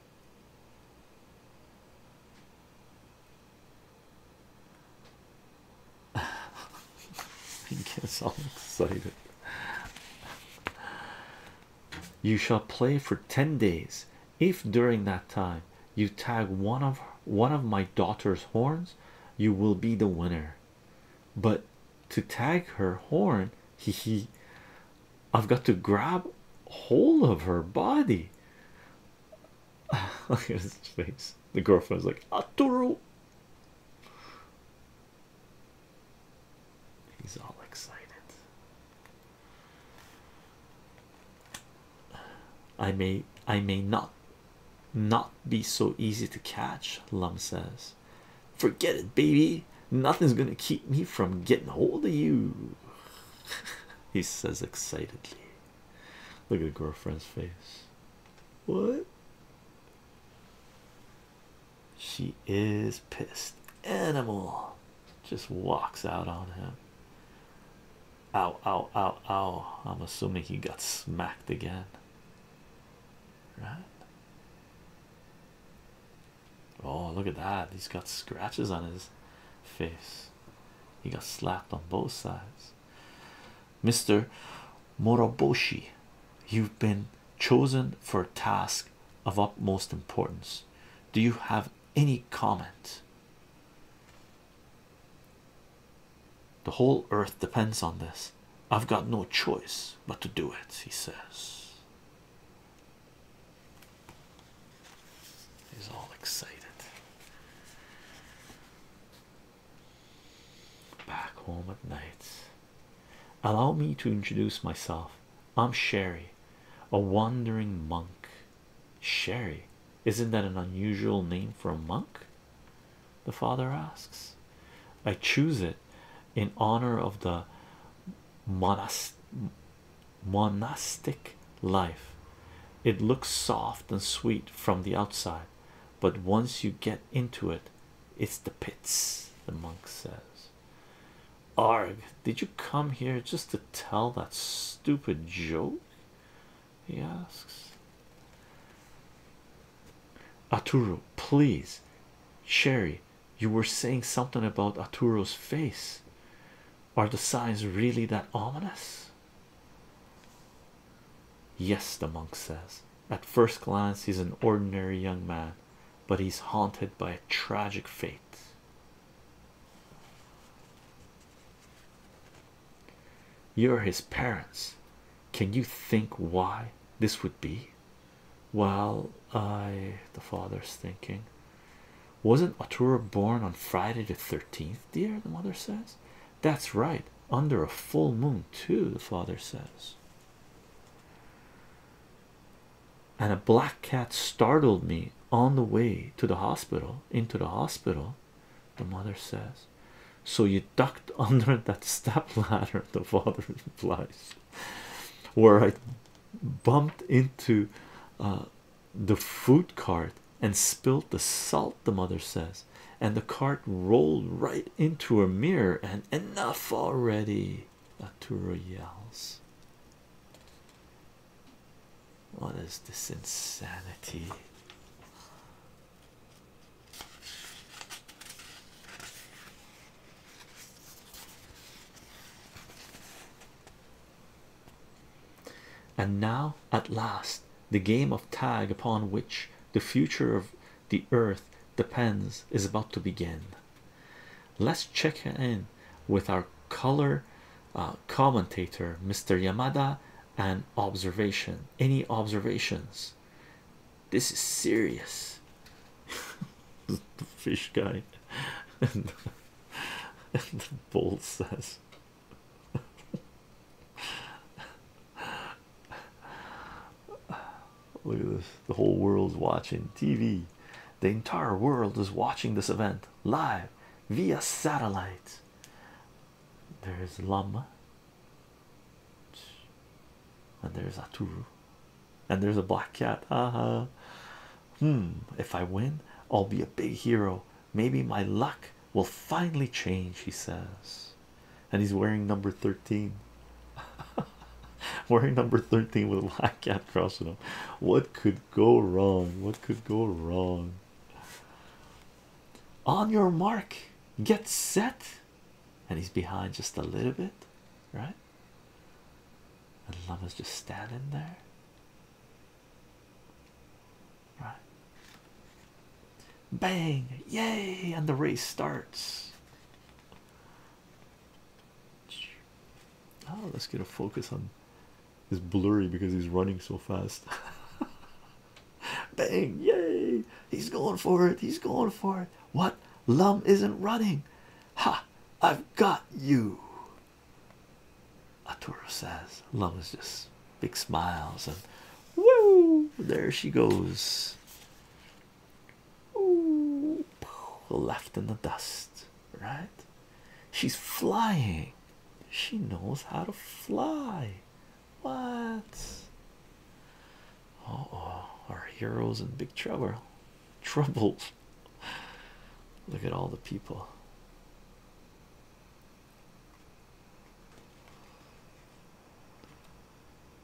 I guess I'm excited. You shall play for 10 days. If during that time you tag one of one of my daughter's horns, you will be the winner. But to tag her horn, he he, I've got to grab hold of her body. Look at his face. The girlfriend's like, Aturu. He's all excited. I may I may not not be so easy to catch, Lum says. Forget it, baby. Nothing's gonna keep me from getting hold of you. he says excitedly. Look at girlfriend's face. What? She is pissed. Animal just walks out on him. Ow, ow, ow, ow. I'm assuming he got smacked again. Right? Oh, look at that. He's got scratches on his face. He got slapped on both sides. Mr. Moroboshi, you've been chosen for a task of utmost importance. Do you have any comment? The whole earth depends on this. I've got no choice but to do it, he says. He's all excited. Back home at night. Allow me to introduce myself. I'm Sherry, a wandering monk. Sherry, isn't that an unusual name for a monk? The father asks. I choose it in honor of the monastic life. It looks soft and sweet from the outside, but once you get into it, it's the pits, the monk says. Arg, did you come here just to tell that stupid joke? he asks. Aturo, please, Sherry, you were saying something about Aturo's face. Are the signs really that ominous? Yes, the monk says. At first glance, he's an ordinary young man, but he's haunted by a tragic fate. You're his parents. Can you think why this would be? Well, I the father's thinking, wasn't Atura born on Friday the 13th, dear? The mother says, That's right, under a full moon, too. The father says. And a black cat startled me on the way to the hospital, into the hospital, the mother says, So you ducked under that step ladder, the father replies, where I bumped into uh, the food cart and spilled the salt, the mother says, and the cart rolled right into a mirror. And enough already, Arturo yells. What is this insanity? And now, at last, the game of tag upon which the future of the earth depends is about to begin. Let's check in with our color uh, commentator, Mr. Yamada an observation. Any observations? This is serious. the fish guy and the, bull says. Look at this. The whole world's watching TV. The entire world is watching this event live via satellite. There's Lama, and there's Aturu, and there's a black cat. Uh -huh. Hmm. If I win, I'll be a big hero. Maybe my luck will finally change. He says, and he's wearing number thirteen. wearing number thirteen with a black cat crossing him. What could go wrong? What could go wrong? on your mark get set and he's behind just a little bit right and Lama's just standing there right bang yay and the race starts oh let's get a focus on it's blurry because he's running so fast Bang! Yay! He's going for it. He's going for it. What? Lum isn't running. Ha! I've got you. Arturo says. Lum is just big smiles and woo! There she goes. Ooh, left in the dust, right? She's flying. She knows how to fly. What? oh, our heroes in big trouble. Trouble. Look at all the people.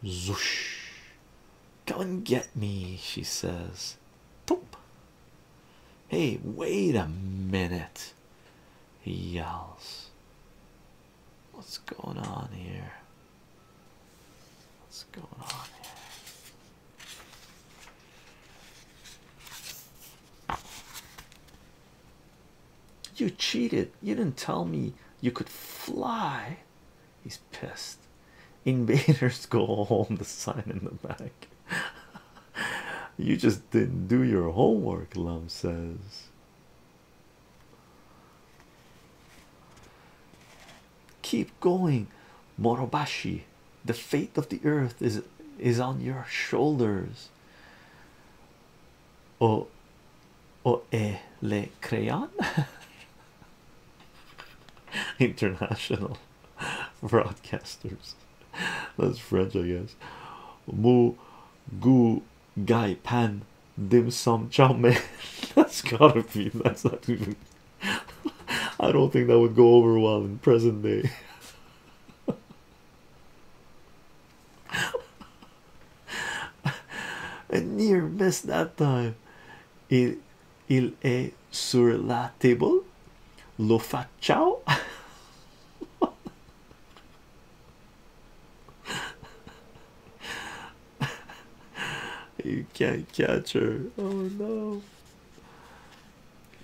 Zoosh. Come and get me, she says. Poop. Hey, wait a minute, he yells. What's going on here? What's going on here? You cheated. You didn't tell me you could fly. He's pissed. Invaders go home, the sign in the back. you just didn't do your homework, Love says. Keep going, Morobashi. The fate of the earth is is on your shoulders. Oh, oh, le crayon. International broadcasters. That's French, I guess. Mu, gu, Guy Pan Dim Sum Chow Man. that's gotta be. That's not even. I don't think that would go over well in present day. A near miss that time. Il, est sur la table. Lo facciao. you can't catch her. Oh no.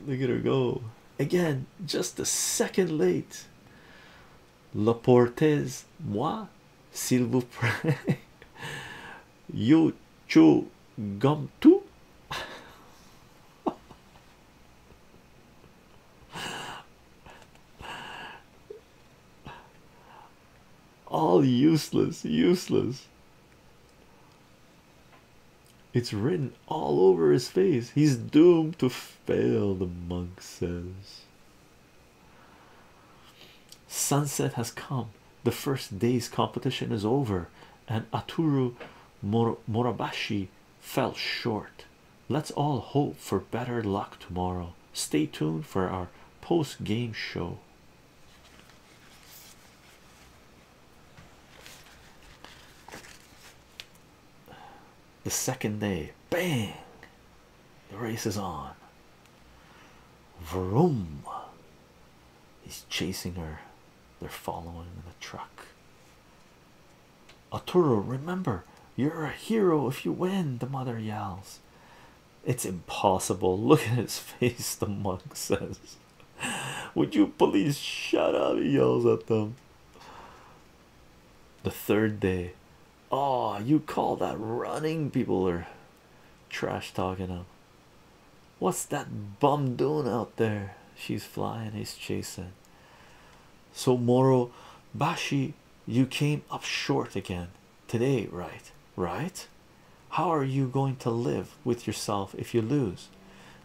Look at her go. Again, just a second late. La Laportez, moi, s'il vous plaît. you too, gum too. all useless, useless. It's written all over his face. He's doomed to fail, the monk says. Sunset has come. The first day's competition is over, and Aturu Mor Morabashi fell short. Let's all hope for better luck tomorrow. Stay tuned for our post game show. The second day, bang, the race is on. Vroom, he's chasing her, they're following in the truck. Arturo, remember, you're a hero if you win, the mother yells. It's impossible. Look at his face, the monk says. Would you please shut up? He yells at them. The third day, ah, you call that running? People are trash talking him. What's that bum doing out there? She's flying, he's chasing. So Moro Bashi you came up short again today, right? Right? How are you going to live with yourself if you lose?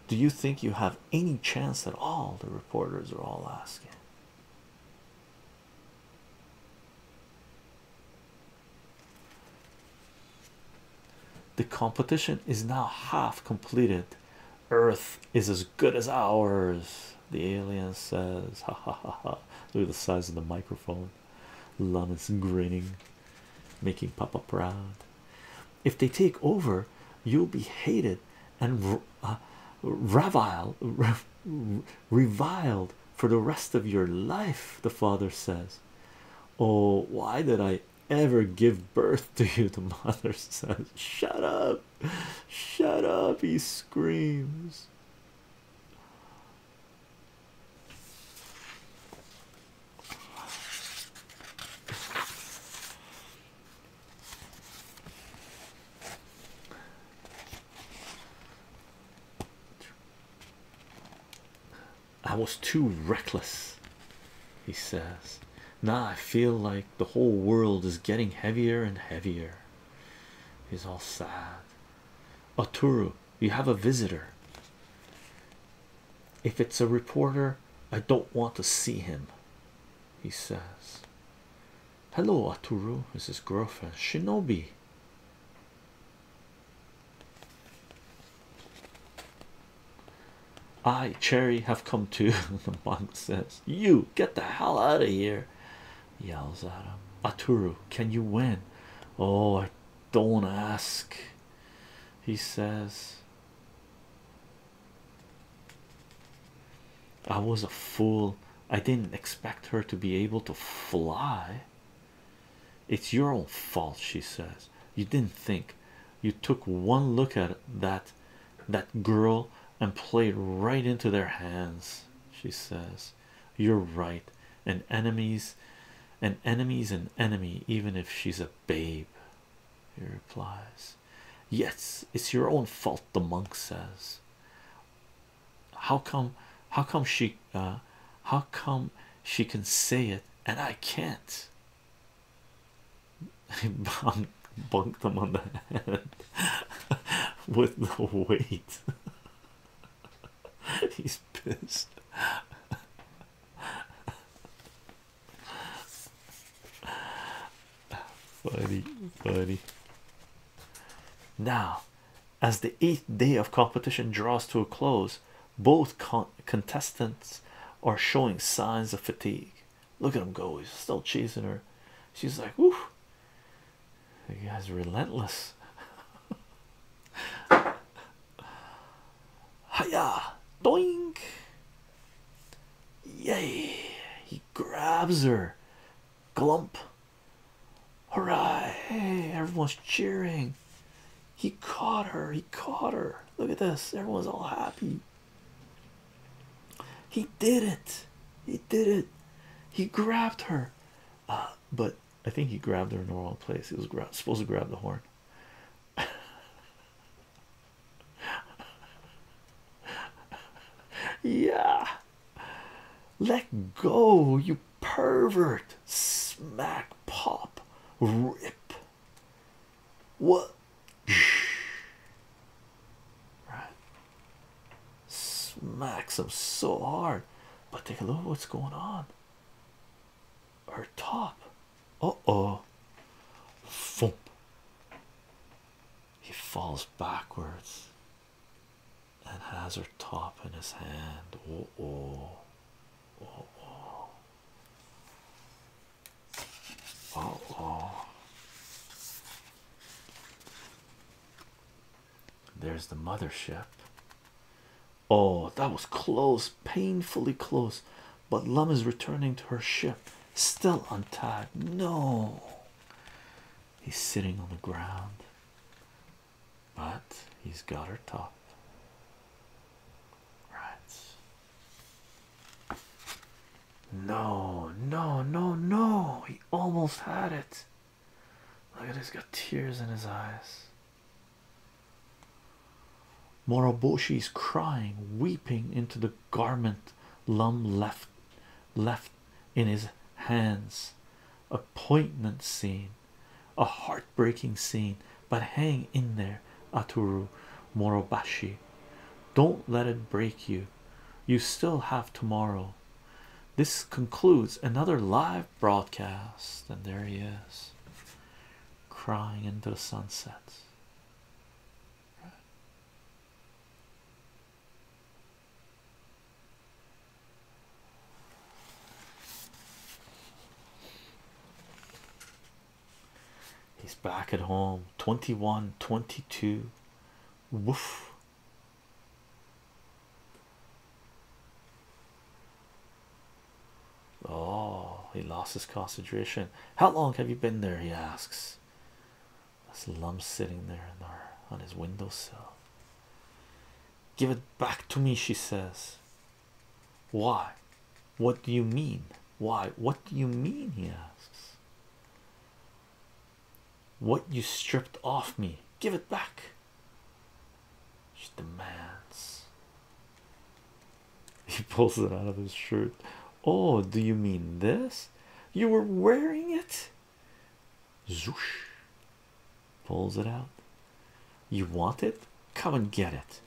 Do you think you have any chance at all? The reporters are all asking. The competition is now half completed. Earth is as good as ours, the alien says. Ha ha ha ha. Look at the size of the microphone. Lummis grinning, making Papa proud. If they take over, you'll be hated and uh, reviled for the rest of your life, the father says. Oh, why did I ever give birth to you? The mother says, Shut up. Shut up, he screams. I was too reckless, he says. Now I feel like the whole world is getting heavier and heavier. He's all sad. Oturu, you have a visitor. If it's a reporter, I don't want to see him. He says, Hello, Aturu. This is girlfriend Shinobi. I, Cherry, have come to. the monk says, You get the hell out of here yells at him. Aturu, can you win? Oh, I don't ask, he says. I was a fool, I didn't expect her to be able to fly. It's your own fault, she says. You didn't think you took one look at that that girl and played right into their hands she says you're right and enemies an enemy's an enemy even if she's a babe he replies yes it's your own fault the monk says how come how come she uh, how come she can say it and I can't I bunked, bunked them on the head with the weight. He's pissed. funny, funny. Now, as the eighth day of competition draws to a close, both contestants are showing signs of fatigue. Look at him go, he's still chasing her. She's like, Woof, you guys are relentless. Hiya! Doink! Yay! He grabs her. Glump. Hooray! everyone's cheering. He caught her. He caught her. Look at this. Everyone's all happy. He did it. He did it. He grabbed her. Uh, but I think he grabbed her in the wrong place. He was supposed to grab the horn. yeah. Let go, you pervert. Smack, pop, rip. What? right? Smacks them so hard, but take a look at what's going on. Her top, uh oh, Fump. he falls backwards and has her top in his hand. Uh oh, uh oh, uh oh. There's the mothership. Oh, that was close, painfully close. But Lum is returning to her ship, still untied. No, he's sitting on the ground, but he's got her top. Right. No, no, no, no. He almost had it. Look at he's got tears in his eyes. Moroboshi is crying, weeping into the garment Lum left left in his hands. A poignant scene, a heartbreaking scene, but hang in there, Aturu Moroboshi. Don't let it break you. You still have tomorrow. This concludes another live broadcast, and there he is crying into the sunset. He's back at home 21 22. Woof Oh, he lost his concentration. How long have you been there? He asks. That's Lum sitting there in on his windowsill. Give it back to me, she says. Why? What do you mean? Why? What do you mean? He asks. What you stripped off me, give it back. She demands. He pulls it out of his shirt. Oh, do you mean this? You were wearing it? Zoosh. Pulls it out. You want it? Come and get it.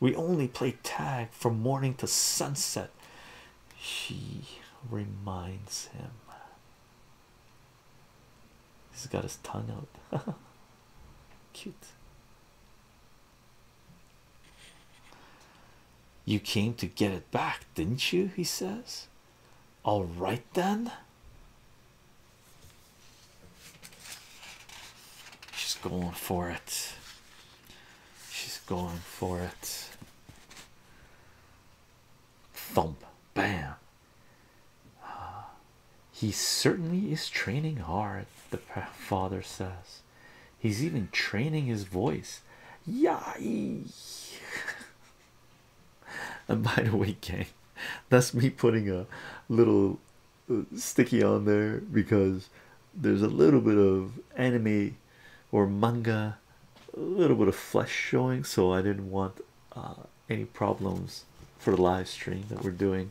We only play tag from morning to sunset. She reminds him. He's got his tongue out. Cute. You came to get it back, didn't you? He says. All right, then. She's going for it. She's going for it thump bam uh, he certainly is training hard the father says he's even training his voice yeah and by the way gang that's me putting a little uh, sticky on there because there's a little bit of anime or manga a little bit of flesh showing so i didn't want uh, any problems for the live stream that we're doing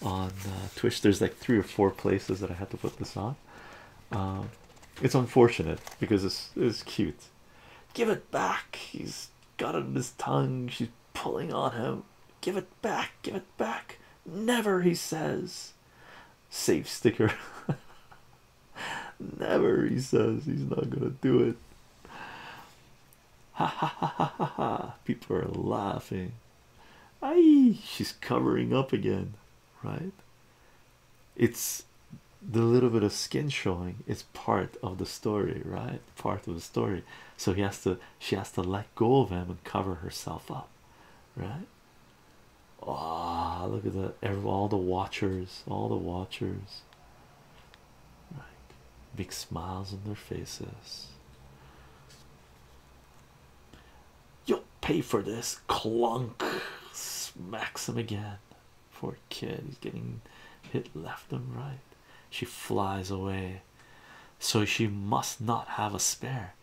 on uh, Twitch. There's like three or four places that I had to put this on. Um, it's unfortunate because it's, it's cute. Give it back. He's got it in his tongue. She's pulling on him. Give it back. Give it back. Never, he says. Safe sticker. Never, he says he's not gonna do it. Ha ha ha ha ha ha. People are laughing. Aye, she's covering up again, right? It's the little bit of skin showing, it's part of the story, right? Part of the story. So he has to she has to let go of him and cover herself up, right? Ah, look at that all the watchers, all the watchers. Right. Big smiles on their faces. You'll pay for this clunk. Smacks him again. Poor kid, he's getting hit left and right. She flies away. So she must not have a spare.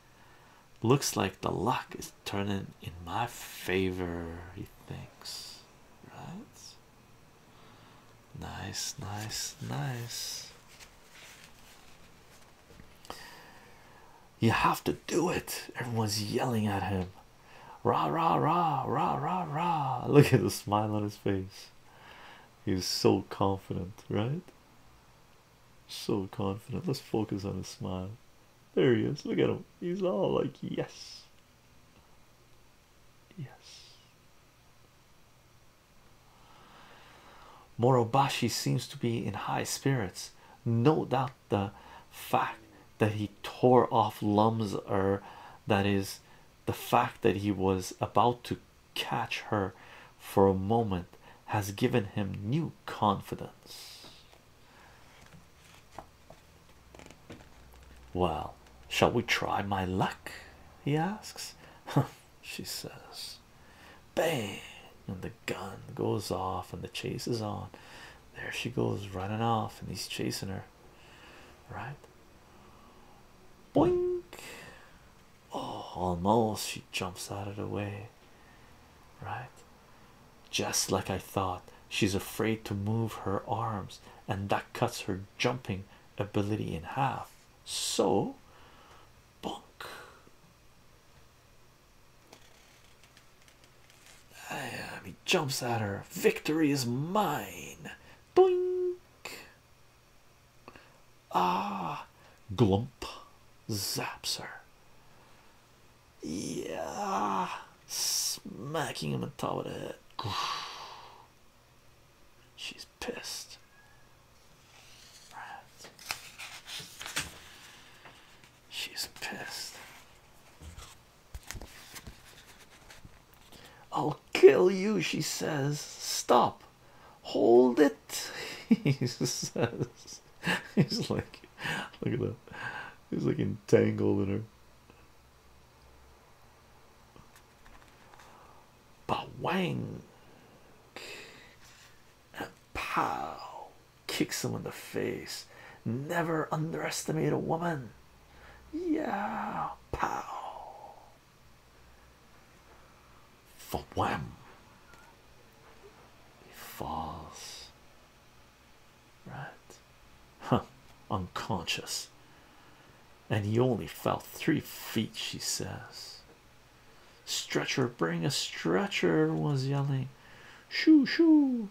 Looks like the luck is turning in my favor, he thinks. Right? Nice, nice, nice. You have to do it. Everyone's yelling at him. Rah, rah, rah, rah, rah, rah. Look at the smile on his face. He's so confident, right? So confident. Let's focus on his smile. There he is. Look at him. He's all like, yes. Yes. Morobashi seems to be in high spirits. No doubt the fact that he tore off Lum's or that is the fact that he was about to catch her for a moment has given him new confidence. Well, shall we try my luck? He asks. she says, Bang! And the gun goes off, and the chase is on. There she goes, running off, and he's chasing her. Right? Boink! Oh, almost she jumps out of the way. Right? Just like I thought, she's afraid to move her arms and that cuts her jumping ability in half so bonk uh, he jumps at her victory is mine Boink. ah glump zaps her yeah smacking him on top of the head. She's pissed. She's pissed. I'll kill you, she says. Stop. Hold it. He says, He's like, look at that. He's like entangled in her. Bawang and pow kicks him in the face. Never underestimate a woman. Yeah, pow. For wham, he falls right? Huh, unconscious, and he only fell three feet, she says. Stretcher, bring a stretcher, was yelling. Shoo, shoo.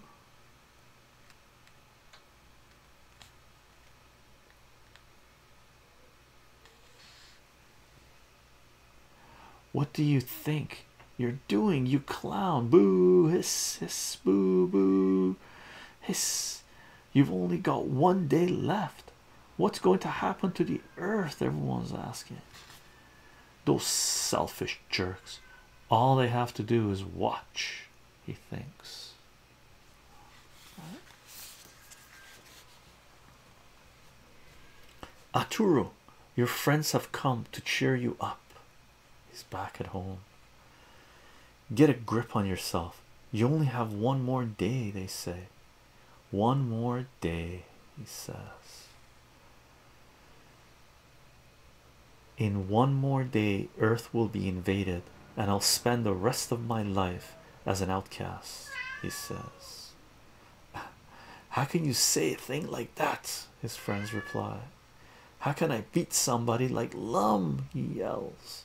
What do you think you're doing, you clown? Boo, hiss, hiss, boo, boo, hiss. You've only got one day left. What's going to happen to the earth? Everyone's asking. Those selfish jerks. All they have to do is watch, he thinks. Aturo, your friends have come to cheer you up. He's back at home. Get a grip on yourself. You only have one more day, they say. One more day, he says. In one more day, Earth will be invaded, and I'll spend the rest of my life as an outcast, he says. How can you say a thing like that? His friends reply. How can I beat somebody like Lum? He yells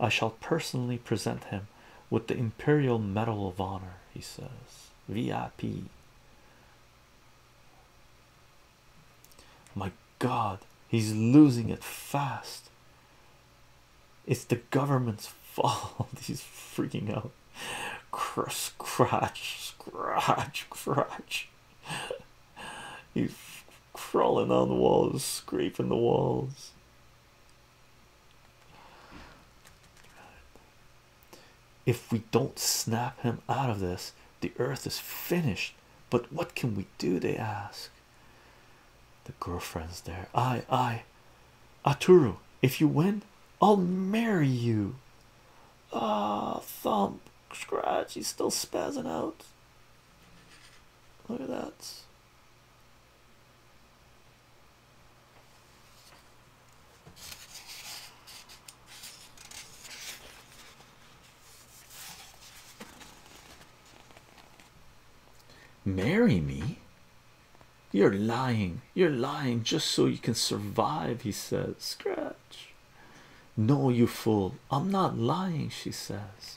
I shall personally present him with the Imperial Medal of Honor, he says. VIP. My God, he's losing it fast. It's the government's fault. he's freaking out. Crush, scratch, scratch, scratch. he's crawling on the walls, scraping the walls. If we don't snap him out of this, the earth is finished. But what can we do? They ask. The girlfriend's there. I, I, Aturu, if you win, I'll marry you. Ah, thump, scratch, he's still spazzing out. Look at that. Marry me? You're lying. You're lying just so you can survive, he says. Scratch. No, you fool. I'm not lying, she says.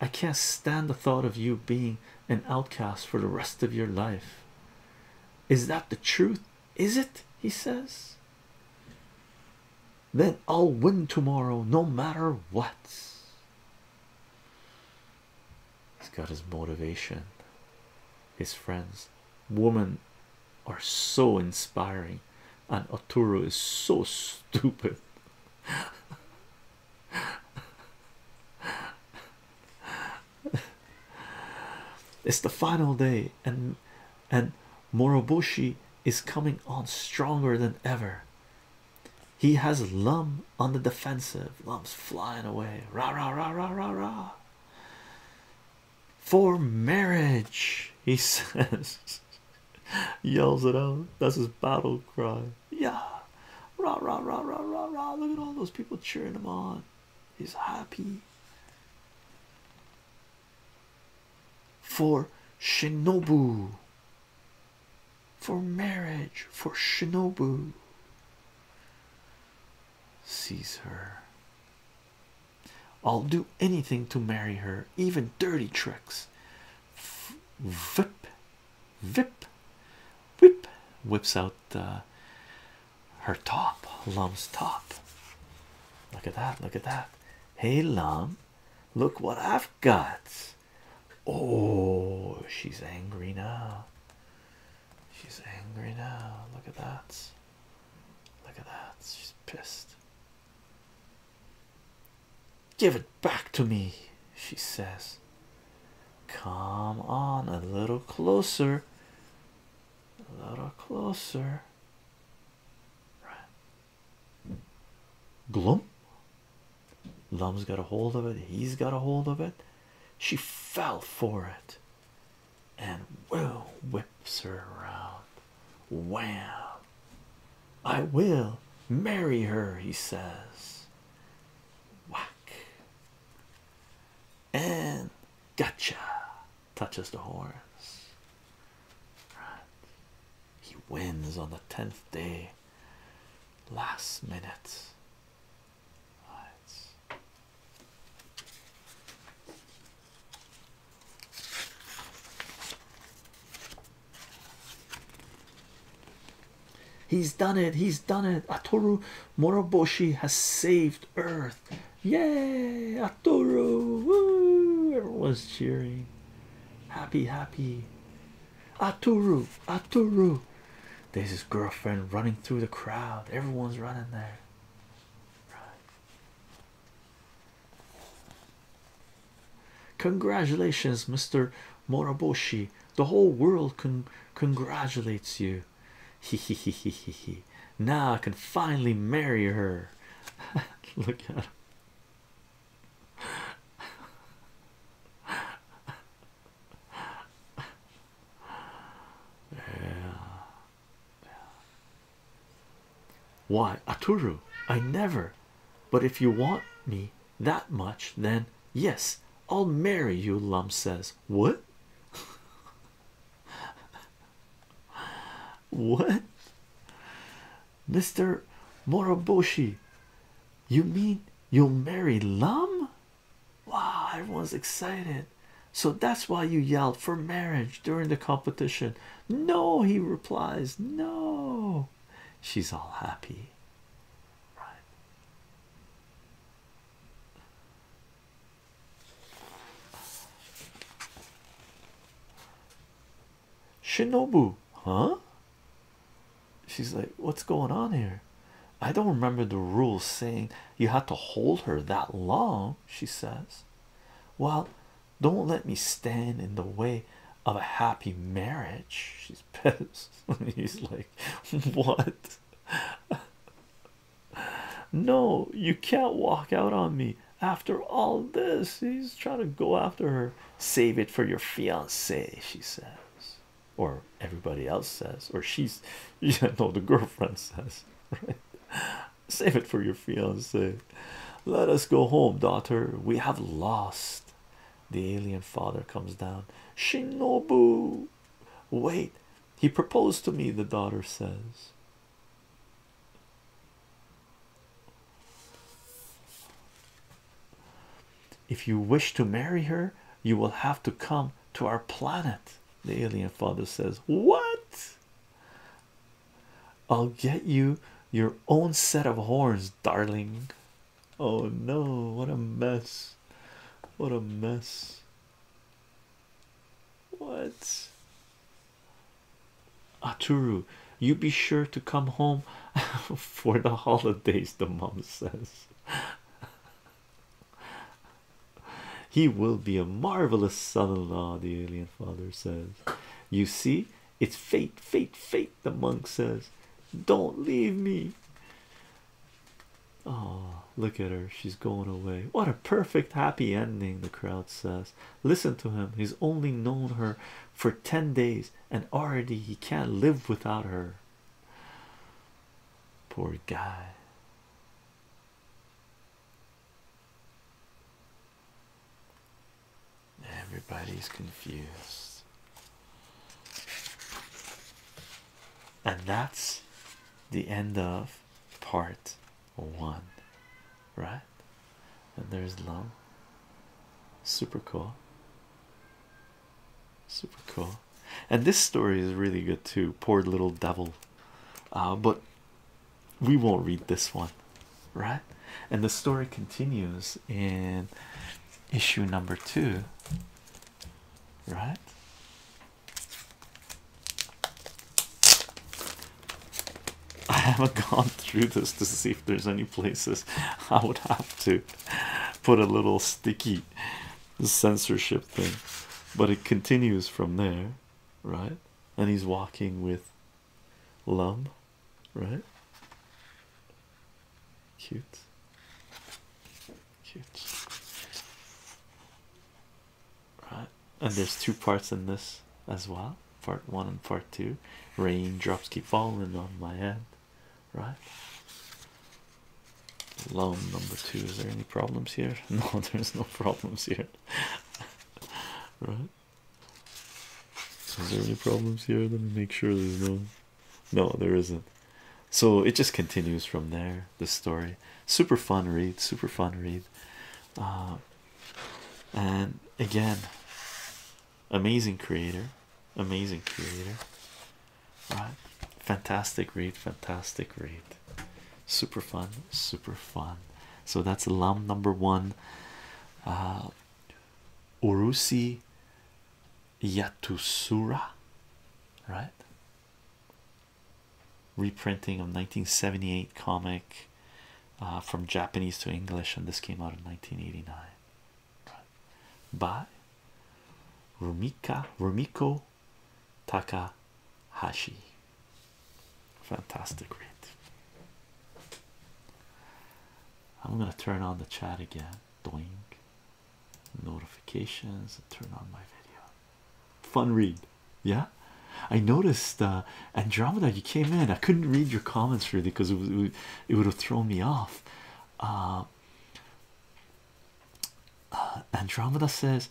I can't stand the thought of you being an outcast for the rest of your life. Is that the truth? Is it? He says. Then I'll win tomorrow, no matter what. He's got his motivation, his friends. Women are so inspiring, and Oturu is so stupid it's the final day and and moroboshi is coming on stronger than ever he has lum on the defensive lumps flying away rah rah rah rah rah rah for marriage he says Yells it out. That's his battle cry. Yeah. Rah rah rah rah rah rah. Look at all those people cheering him on. He's happy. For Shinobu. For marriage. For Shinobu. Sees her. I'll do anything to marry her, even dirty tricks. Vip, vip, whip, whips out uh, her top, Lum's top. Look at that! Look at that! Hey, Lum, look what I've got. Oh, she's angry now. She's angry now. Look at that. Look at that. She's pissed. Give it back to me, she says. Come on, a little closer, a little closer. Glum. Gloom. Lum's got a hold of it, he's got a hold of it. She fell for it and will whips her around. Wham! I will marry her, he says. Whack and gotcha touches the horse. He wins on the tenth day, last minute. He's done it. He's done it. Ataru Moroboshi has saved Earth. Yay! Ataru! Woo! Everyone's cheering. Happy, happy. Ataru! Ataru! There's his girlfriend running through the crowd. Everyone's running there. Congratulations, Mr. Moroboshi. The whole world congratulates you. He he he he he Now I can finally marry her. Look at him. Yeah. Why, Aturu? I never. But if you want me, that much, then yes, I'll marry you. Lum says, What? what? Mr. Moroboshi, you mean you'll marry Lum? Wow, everyone's excited. So that's why you yelled for marriage during the competition. No, he replies, No. She's all happy. Shinobu, huh? She's like, What's going on here? I don't remember the rules saying you had to hold her that long, she says. Well, don't let me stand in the way of a happy marriage, She's is He's like, What? no, you can't walk out on me after all this. He's trying to go after her. Save it for your fiance, she says, or everybody else says, or she's you know, the girlfriend says, right? Save it for your fiance. Let us go home, daughter. We have lost. The alien father comes down. Shinobu, wait, he proposed to me, the daughter says. If you wish to marry her, you will have to come to our planet. The alien father says, What? I'll get you your own set of horns, darling. Oh no, what a mess! What a mess! What? Aturu, you be sure to come home for the holidays, the mom says. he will be a marvelous son in law, the alien father says. You see, it's fate, fate, fate. The monk says, Don't leave me. Oh, look at her. She's going away. What a perfect happy ending, the crowd says. Listen to him. He's only known her for 10 days, and already he can't live without her. Poor guy. Everybody's confused. And that's the end of part one, right? And there's Lum. Super cool. Super cool. And this story is really good too. Poor little devil. Uh, but we won't read this one, right? And the story continues in issue number two, right? I haven't gone through this to see if there's any places I would have to put a little sticky censorship thing, but it continues from there, right? And he's walking with Lum right? Cute, cute, right? And there's two parts in this as well part one and part two. Raindrops keep falling on my head, right? Loan number two. Is there any problems here? No, there's no problems here, right? Is there any problems here? Let me make sure there's no no, there isn't. So it just continues from there. The story, super fun read, super fun read, uh, and again, amazing creator, amazing creator. All right, fantastic read, fantastic read, super fun, super fun. So that's Lum number one. Uh, Urusi Yatou Sura, right? Reprinting of 1978 comic uh, from Japanese to English, and this came out in 1989 by Rumika Rumiko Takahashi. Fantastic read. I'm gonna turn on the chat again doink notifications turn on my video fun read yeah i noticed uh andromeda you came in i couldn't read your comments really because it, it would have thrown me off uh, uh andromeda says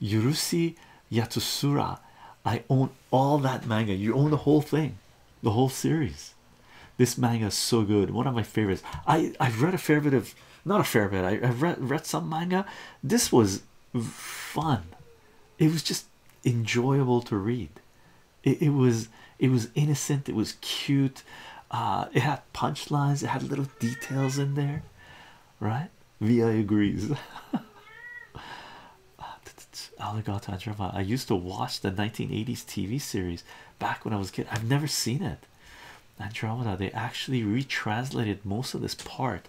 yurusi yatusura i own all that manga you own the whole thing the whole series. This manga is so good. One of my favorites. I I've read a fair bit of not a fair bit. I, I've read read some manga. This was fun. It was just enjoyable to read. It, it was it was innocent. It was cute. Uh, it had punchlines. It had little details in there, right? Vi agrees. Ah, I used to watch the 1980s TV series back when I was kid. I've never seen it. Andromeda, they actually retranslated most of this part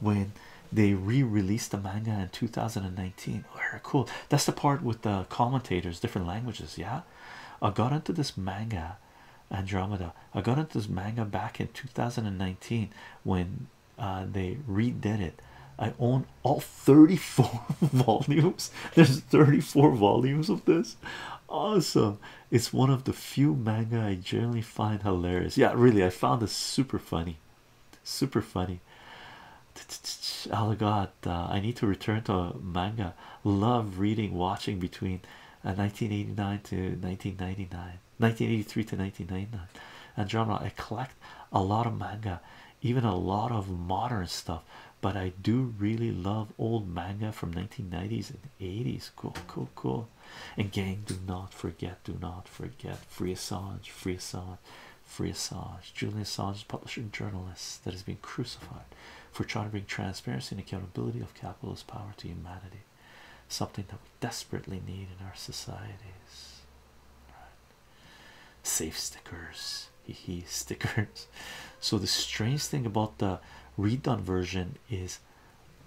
when they re-released the manga in 2019. Very cool. That's the part with the commentators, different languages. Yeah, I got into this manga, Andromeda. I got into this manga back in 2019 when uh, they redid it. I own all 34 volumes There's 34 volumes of this. Awesome. It's one of the few manga I generally find hilarious. Yeah, really, I found this super funny. Super funny. Oh god, uh, I need to return to manga. Love reading, watching between 1989 uh, to 1999, 1983 to 1999, and genre. I collect a lot of manga, even a lot of modern stuff but I do really love old manga from 1990s and 80s. Cool, cool, cool. And gang, do not forget, do not forget. Free Assange, free Assange, free Assange. Julian Assange is a journalist that has been crucified for trying to bring transparency and accountability of capitalist power to humanity. Something that we desperately need in our societies. Safe stickers he stickers so the strange thing about the redone version is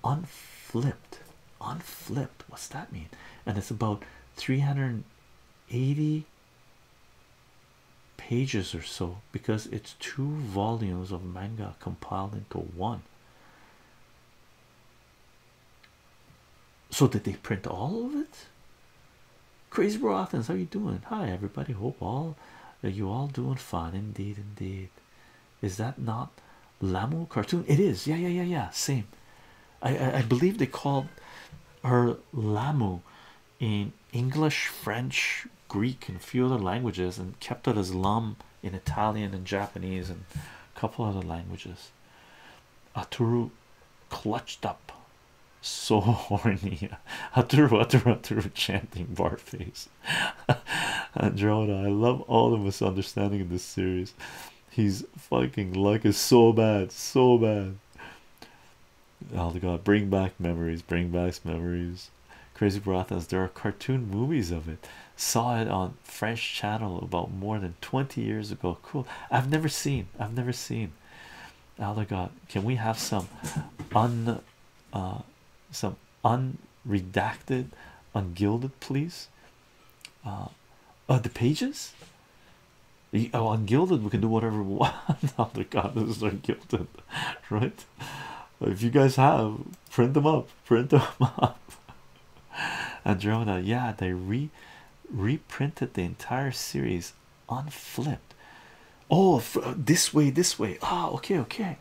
unflipped unflipped what's that mean and it's about 380 pages or so because it's two volumes of manga compiled into one so did they print all of it Crazy Bro Athens, how you doing? Hi everybody. Hope all that uh, you all doing fine. Indeed, indeed. Is that not Lamu cartoon? It is. Yeah, yeah, yeah, yeah. Same. I I, I believe they called her Lamu in English, French, Greek, and a few other languages, and kept it as Lam in Italian and Japanese and a couple other languages. Aturu clutched up so horny Aturu, Aturu, Aturu, chanting barface Androna I love all the misunderstanding in this series he's fucking like is so bad so bad oh the god bring back memories bring back memories crazy Barathas there are cartoon movies of it saw it on French channel about more than 20 years ago cool I've never seen I've never seen Allegod, oh, can we have some un uh, some unredacted, ungilded, please. Uh, uh, the pages. Oh, ungilded, we can do whatever we want. no, the God, this is ungilded, right? If you guys have, print them up, print them up. And Andromeda, yeah, they re reprinted the entire series unflipped oh uh, this way this way ah okay okay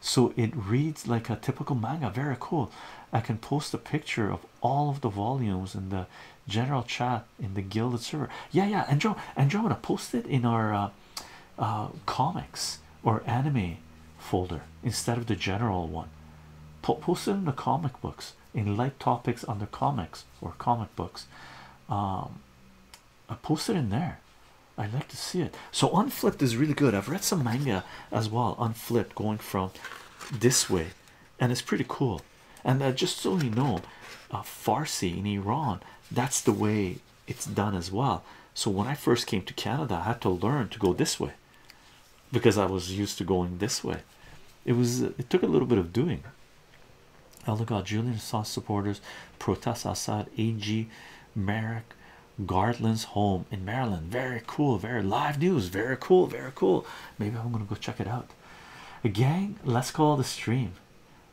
so it reads like a typical manga very cool i can post a picture of all of the volumes in the general chat in the gilded server yeah yeah and joe and joe to post it in our uh, uh, comics or anime folder instead of the general one post it in the comic books in light topics under comics or comic books um, I posted in there. I'd like to see it. So Unflipped is really good. I've read some manga as well. Unflipped going from this way, and it's pretty cool. And uh, just so you know, uh, Farsi in Iran, that's the way it's done as well. So when I first came to Canada, I had to learn to go this way because I was used to going this way. It was it took a little bit of doing. Oh, look out, Julian Assange supporters protest Assad AG Merrick Garland's home in Maryland. Very cool, very live news. Very cool, very cool. Maybe I'm gonna go check it out. Again, let's call the stream.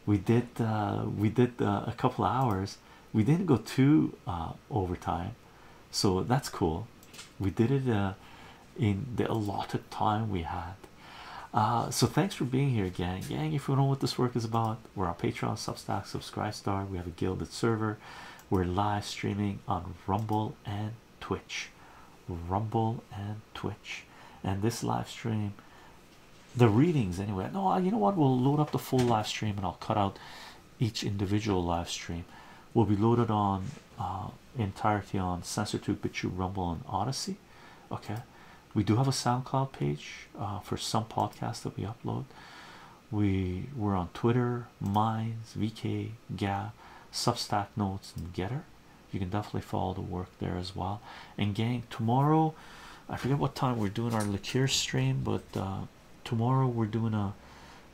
We did, uh, we did uh, a couple hours. We didn't go too uh, overtime, so that's cool. We did it in the allotted time we had. Uh, so thanks for being here, again, Gang, if you don't know what this work is about, we're on Patreon, Substack, Star. We have a gilded server. We're live streaming on Rumble and Twitch. Rumble and Twitch. And this live stream, the readings anyway. No, uh, you know what? We'll load up the full live stream and I'll cut out each individual live stream. Will be loaded on uh, entirety on Sensor 2, BitChute, Rumble, and Odyssey. Okay, we do have a SoundCloud page uh, for some podcasts that we upload. We we're on Twitter, Minds, VK, Gab, Substack Notes, and Getter. You can definitely follow the work there as well. And gang, tomorrow, I forget what time we're doing our liqueur stream, but uh, tomorrow we're doing a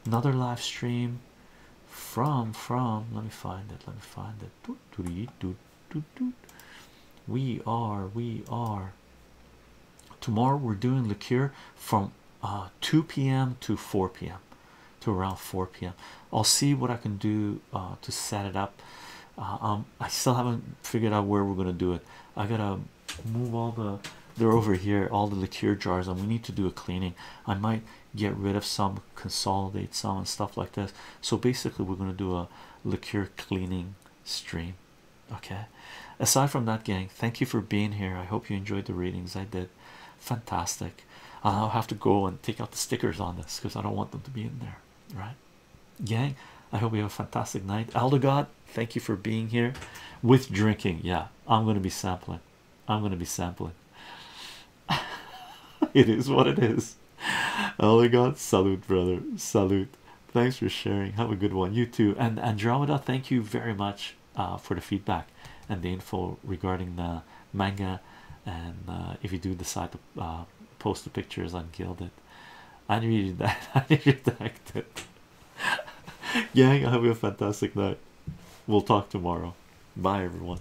another live stream from from. Let me find it. Let me find it. Do, we are we are tomorrow we're doing liqueur from uh, 2 p.m to 4 p.m to around 4 p.m i'll see what i can do uh, to set it up uh, um, i still haven't figured out where we're gonna do it i gotta move all the they're over here all the liqueur jars and we need to do a cleaning i might get rid of some consolidate some and stuff like this so basically we're going to do a liqueur cleaning stream. Okay, aside from that, gang, thank you for being here. I hope you enjoyed the readings. I did fantastic. I'll have to go and take out the stickers on this because I don't want them to be in there, right? Gang, I hope you have a fantastic night. Elder thank you for being here with drinking. Yeah, I'm gonna be sampling, I'm gonna be sampling. it is what it is. Oh God, salute, brother. Salute. Thanks for sharing. Have a good one. You too. And Andromeda, thank you very much uh, for the feedback and the info regarding the manga. And uh, if you do decide to uh, post the pictures on Guilded, I need that. I need that. Gang, I hope you have a fantastic night. We'll talk tomorrow. Bye, everyone.